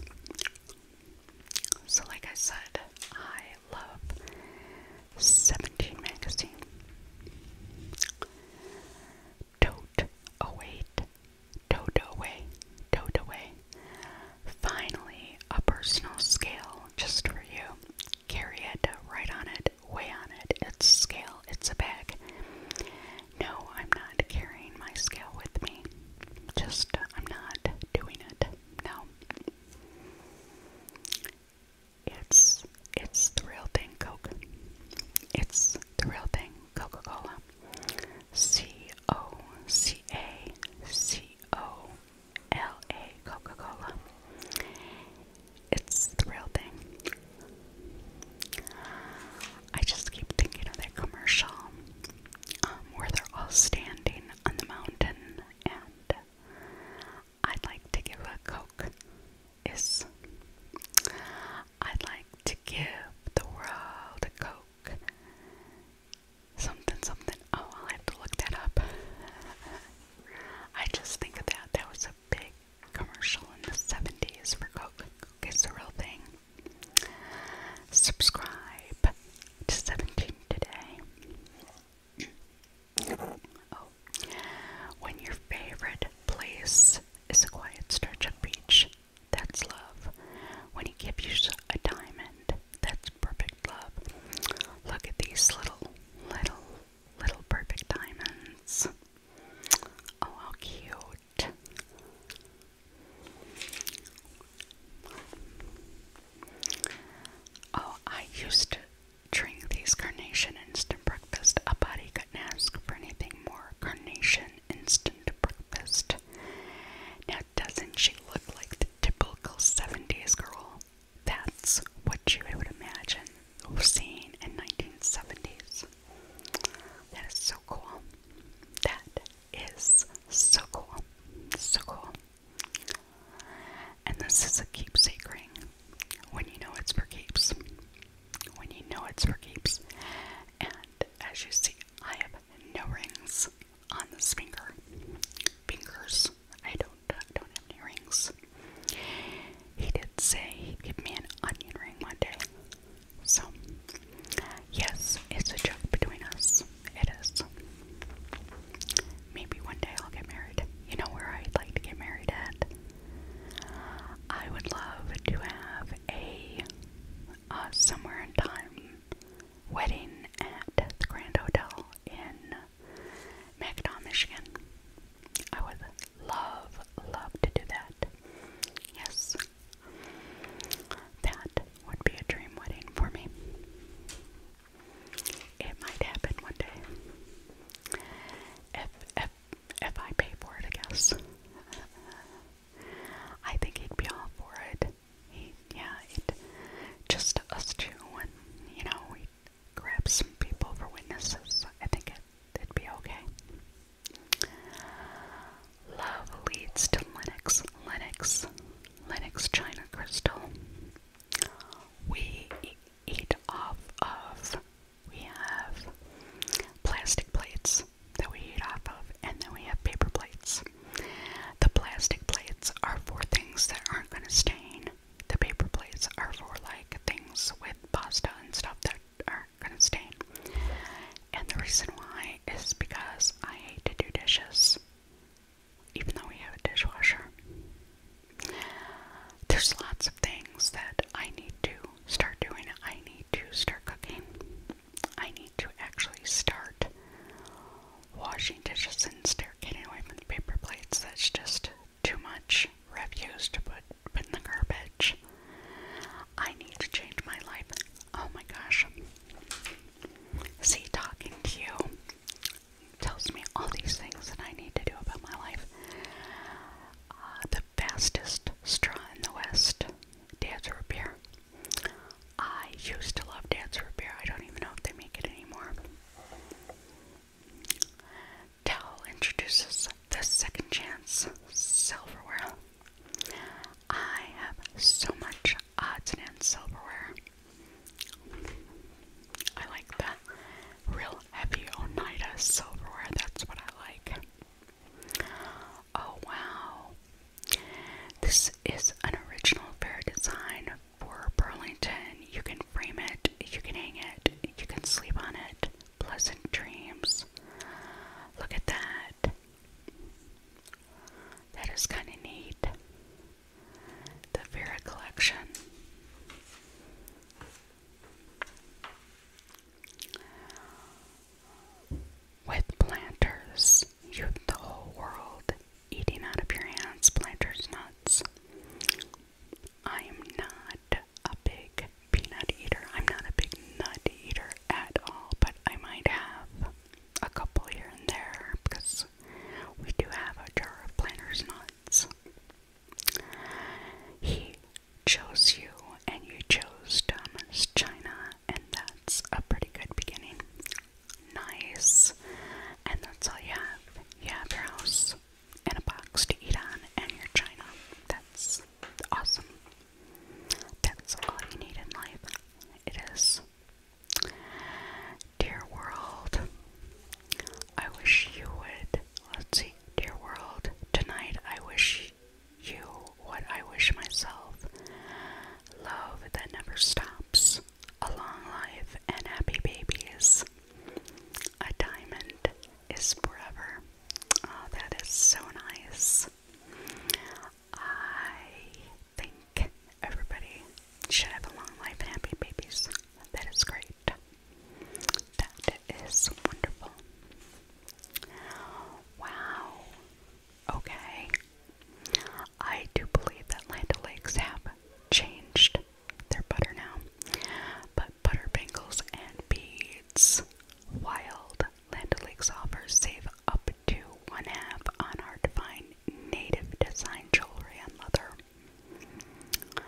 So, like I said, I love 17 Magazine tote away, tote away, tote away. Finally, a personal scale just for you. Carry it. write on it, weigh on it. It's scale, it's a bag. No, I'm not carrying my scale with me. Just, I'm not doing it. No. It's it's the real thing, Coke. It's the real thing, Coca-Cola. C O C A C O L A Coca-Cola. It's the real thing. I just keep thinking of that commercial um, where they're all standing on the mountain, and I'd like to give a Coke is I'd like to give the world a Coke. Something, something. Oh, I'll have to look that up. I just think of that. That was a big commercial in the 70s for Coke. Coke it's the real thing. Subscribe to 17 today. Oh, when your favorite place is a quiet stretch of beach, that's love. When he gives you a diamond, that's perfect love. Look at these little, little, little perfect diamonds. Oh, how cute. Oh, I used to drink these carnation and breakfast, a body couldn't ask for anything more. Carnation instant breakfast. Now, doesn't she look like the typical 70s girl? That's what you would imagine seeing in 1970s. That is so cool. That is so cool. So cool. And this is a keepsake ring when you know it's for keeps. When you know it's for keeps. And as you see, I have no rings on this finger. Fingers. I don't uh, don't have any rings. He did say he'd give me an onion ring one day. So yes, it's a joke between us. It is. Maybe one day I'll get married. You know where I'd like to get married at? I would love to have a uh, somewhere in time wedding at the Grand Hotel in Mackinac, Michigan. I would love, love to do that. Yes, that would be a dream wedding for me. It might happen one day if I pay for it, I guess. I think he'd be all for it. He, yeah, just us two, and you know, we grab some people for witnesses. I think it, would be okay. Love leads to Linux, Linux, Linux China Crystal. We eat off of we have plastic plates that we eat off of, and then we have paper plates. The plastic plates are for things that aren't going to stain. The paper plates are for like things with pasta and stuff that aren't going to stain. And the reason why is because I hate to do dishes, even though we have a dishwasher. There's lots of things that I need to start doing it. I need to start cooking. I need to actually start washing dishes and start getting away from the paper plates. That's just too much refuse to put, put in the garbage. I need to change my life. Oh my gosh. See, talking to you tells me all these things that I need to do about my life. Uh, the fastest straw in the West, Dad's Root Beer. I used to love Dad's Root Beer. I don't even know if they make it anymore. Dell introduces the Second Chance Silverware. I have so much odds and ends silverware. I like that real heavy Oneida silverware, that's what I like. Oh wow. This is an original fair design for Burlington. You can frame it, you can hang it, you can sleep on it. Pleasant dreams. Look at that. That is kind of neat. The Vera collection. With planters, you the whole world eating out of your hands planters nuts. I am not a big peanut eater. I'm not a big nut eater at all, but I might have a couple here and there because we do have a jar of planters nuts. He chose you and you chose Thomas China, and that's a pretty good beginning. Nice. And that's all you have. You have your house and a box to eat on and your China. That's awesome. That's all you need in life. It is. Dear world, I wish you would. Let's see. Dear world, tonight I wish you what I wish myself love that never stops, a long life, and happy babies. A diamond is forever. Oh, that is so nice. I think everybody should have a long life and happy babies. That is great. That is wonderful. Wow. Okay. I do believe that Land O'Lakes have changed their butter now. But butter bangles and beads. Wild Land O'Lakes offers save up to one half on our divine native design jewelry and leather.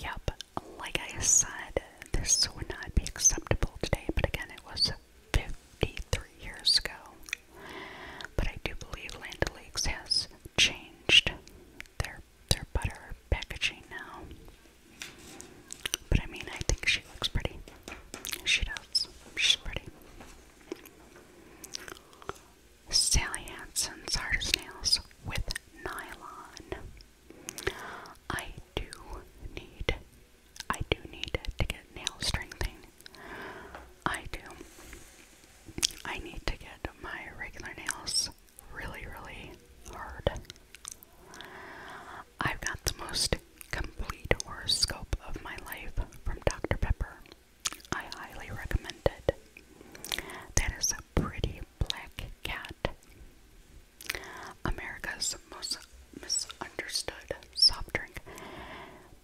Yep, like I said, this would not be acceptable today, but again, it was 53 years ago. But I do believe Land O'Lakes has changed their their butter packaging now. But I mean, I think she looks pretty. She does. She's pretty. Sally Hansen's Hard as Nails with Nylon. I do need, I do need to get nail strengthening. I do. I need to get my regular nails really, really hard. I've got the most complete horoscope of my life from Dr. Pepper. I highly recommend it. That is a pretty black cat. America's most misunderstood soft drink.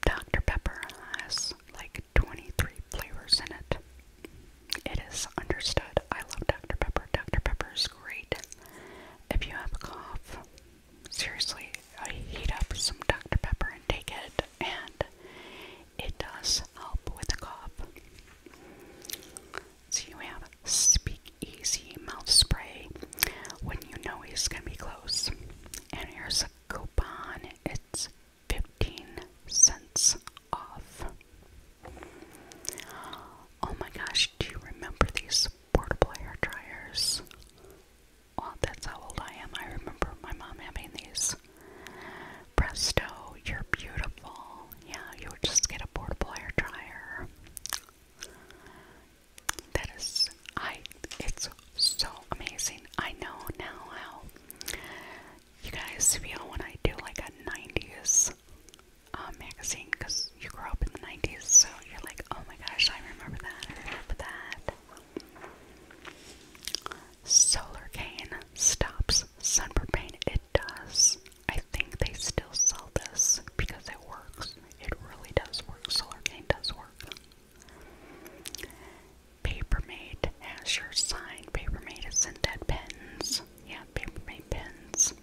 Dr. Pepper has like 23 flavors in it. It is understood. I love Dr. Pepper. Dr. Pepper is great. If you have a cough, seriously, I heat up some Dr. Pepper and take it, and it does help with the cough. So you Speak Easy mouth spray when you know he's gonna be close. And here's a coupon. It's 15 cents off. Oh my gosh, do you remember these portable hair dryers? Oh, that's how old I am. I remember my mom having these. Presto, you're beautiful. Yeah, you would just get a portable hair dryer. That is, I, it's so amazing. I know now how you guys feel when I do like a 90s uh, magazine because you grew up in the 90s, so you're like, oh my gosh, I remember that, I remember that. Solar cane stops sunburn pain. It does. I think they still sell this because it works. It really does work. Solargain does work. Papermate has your sign. Papermate is in dead pens. Yeah, Papermate pens.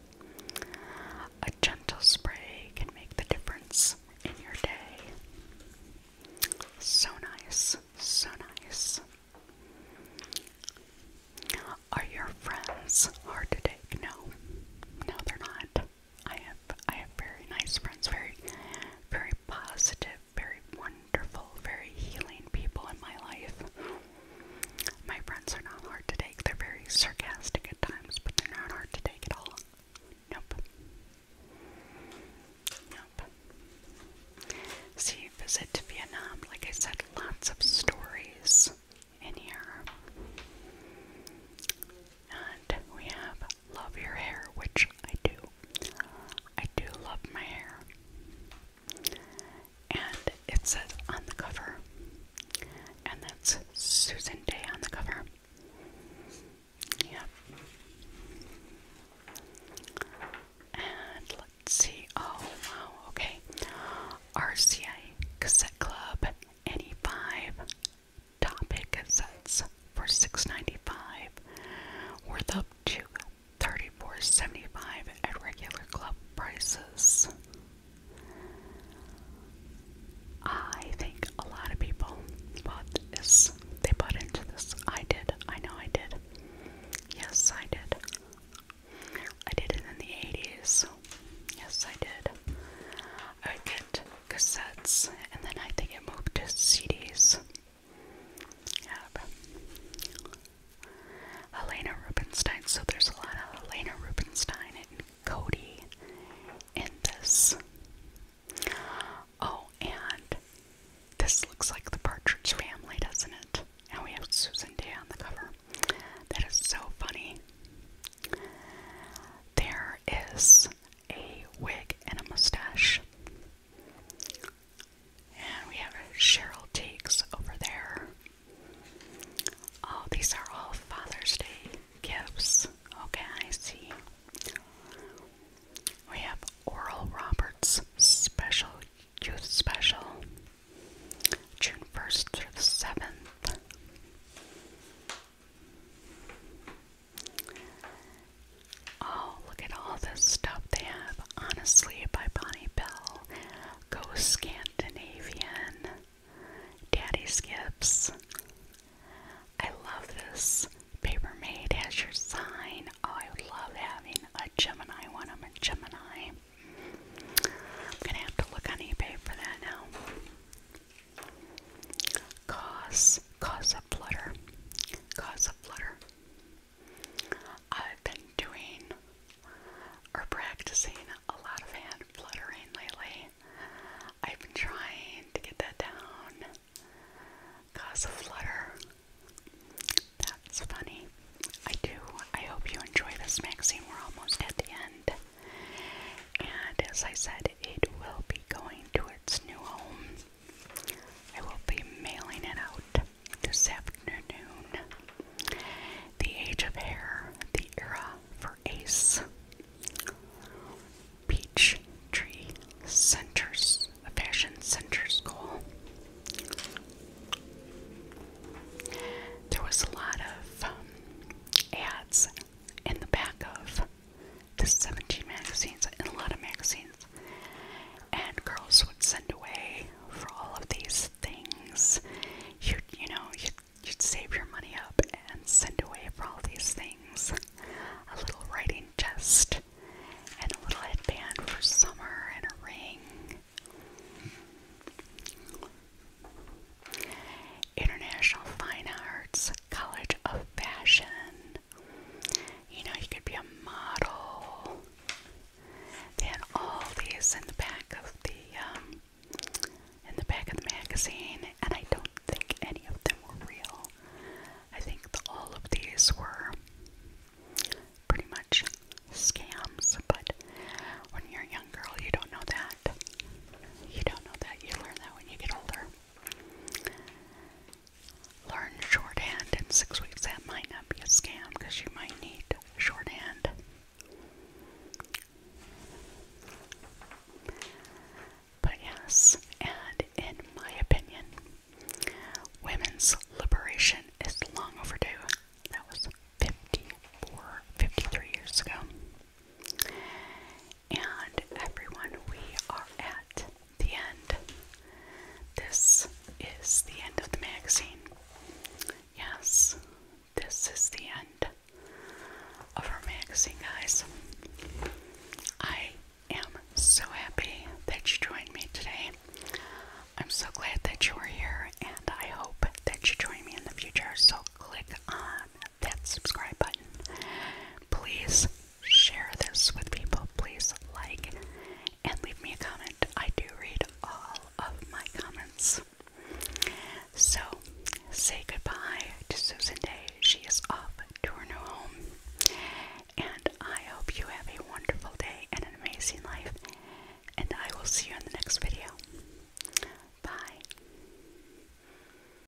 A gentle spray can make the difference in your day. So nice. So nice. Are your friends hard to take? No. No, they're not. I have I have very nice friends, very very positive, very wonderful, very healing people in my life. My friends are not hard to take. They're very sarcastic at times, but they're not hard to take at all. Nope. Nope. See, visit to Vietnam, like I said, lots of stories in here. And we have Love Your Hair, which I do. I do love my hair. And it says on the cover, and that's Susan Day on the cover. Yep. And let's see. Oh, wow. Okay. RCA Cassette Club, ne topic sets for six ninety five, dollars worth up to $34.75 at regular club prices. I think a lot of people bought this. They bought into this. I did. I know I did. Yes, I did. I did it in the 80s. Yes, I did. I would cassettes, and then I think it moved to CDs. Yep. Helena Rubinstein. So there's a lot of Helena Rubinstein and Cody in this. Oh, and this looks like the Partridge Family, doesn't it? And we have Susan Day on the cover. That is so funny. There is a wig and a mustache. And we have Cheryl Teagues over there. Oh, these are all Father's Day gifts. Okay, I see. We have Oral Roberts Special Youth Special, June 1st through the 7th. Oh, look at all this stuff they have. Honestly by Bonnie Bell. Go Scandinavian. Daddy Skips. I love this. Paper Maid has your sign. Oh, I would love having a Gemini one. I'm a Gemini. I'm gonna have to look on eBay for that now. Cause, cause a flutter, cause a flutter. I've been doing or practicing a lot of hand fluttering lately. I've been trying to get that down. Cause a flutter. That's funny. I do. I hope you enjoy this, magazine. We're almost at the end. And as I said, it will be going to its new home. I will be mailing it out this afternoon. The Age of Hair, the Era for Ace, Peach Tree Centers, a Fashion Center School. There was a lot of um, ads in the back of to 17 magazines and a lot of magazines. And girls would send away for all of these things. You'd, you know, you'd, you'd save your money up and send away for all these things. A little writing chest and a little headband for summer and a ring. International Fine Arts College of Fashion. You know, you could be a model. They had all these in the back of the um, in the back of the magazine, and I don't think any of them were real. I think all of these were pretty much scams, but when you're a young girl, you don't know that. You don't know that. You learn that when you get older. Learn shorthand in six weeks. That might not be a scam because you might need shorthand. But yes, and in my opinion, women's liberation is long overdue. That was 54, 53 years ago. And everyone, we are at the end. This is the end of the magazine. Yes, this is the end of our magazine, guys. I am so happy that you joined me today. I'm so glad that you are here, and I hope that you join me in the future. So click on that subscribe button. Please share this with people. Please like and leave me a comment. I do read all of my comments. So, say goodbye to Susan Day. She is off to her new home. And I hope you have a wonderful day and an amazing life. And I will see you in the next video. Bye.